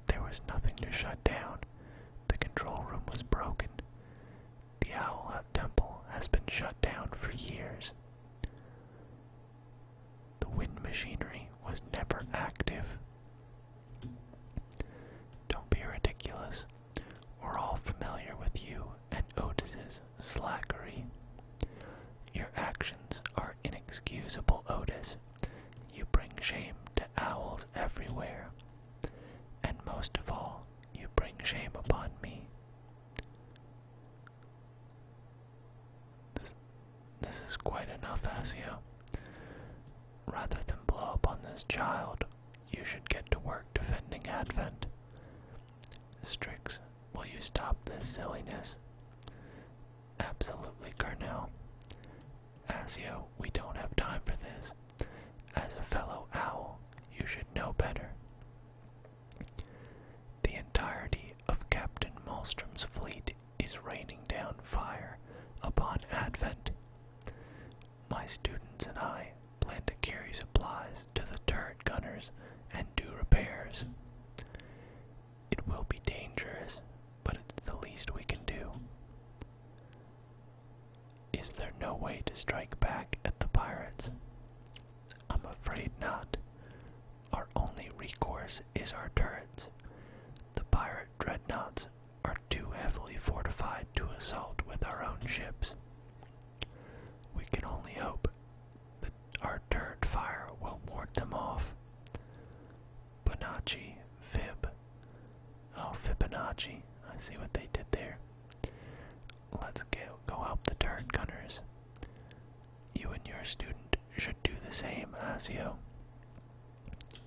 S1: there was nothing to shut down. The control room was broken. The Owl Temple has been shut down for years. The wind machinery was never active. Don't be ridiculous. We're all familiar with you and Otis's slackery. Your actions are inexcusable, Otis. You bring shame to owls everywhere. And most of all, you bring shame upon me. This this is quite enough,
S2: Asio. Rather than blow up on this child, you should get to work defending
S1: Advent. Strix, will you stop this silliness? Absolutely, Carnell. Asio, we don't have time for this. As a fellow owl, you should know better. The entirety of Captain Maelstrom's fleet is raining down fire upon Advent. My students and I plan to carry supplies to the turret gunners and do repairs. It will be dangerous, but it's the least we can do. Is there no way to strike back at the pirates? I'm afraid not, our only recourse is our turrets. The pirate dreadnoughts are too heavily fortified to assault with our own ships. We can only hope that our turret fire will ward them off. Bonacci, Fib. Oh, Fibonacci. I see what they did there. Let's go, go help the turret gunners you and your student should do the same as you.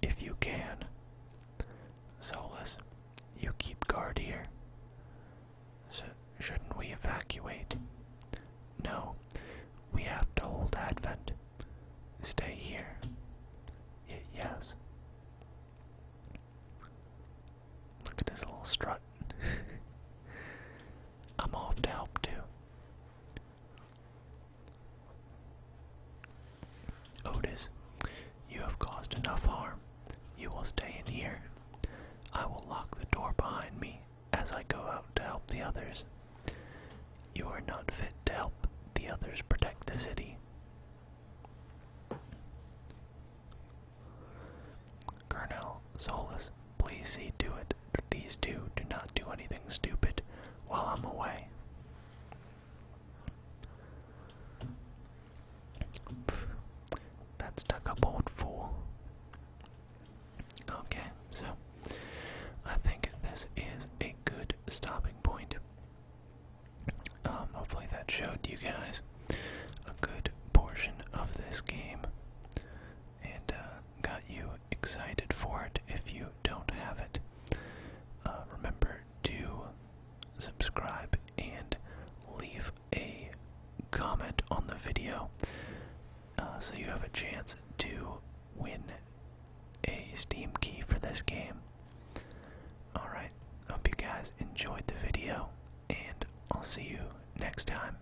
S1: If you can. Solus, you keep guard here. shouldn't we evacuate? No, we have to hold Advent. Stay here. yes. Look at his little strut. I'm off to help too. Otis, you have caused enough harm. You will stay in here. I will lock the door behind me as I go out to help the others. You are not fit to help the others protect the city. Colonel Solis, Please see to it that these two do not do anything stupid while I'm away. that stuck up old fool. Okay, so I think this is a good stopping point. Um, hopefully that showed you guys a good portion of this game. And uh, got you excited for it if you don't have it. Uh, remember to subscribe and leave a comment on the video uh, so you have a chance to win a Steam key for this game. Alright, hope you guys enjoyed the video, and I'll see you next time.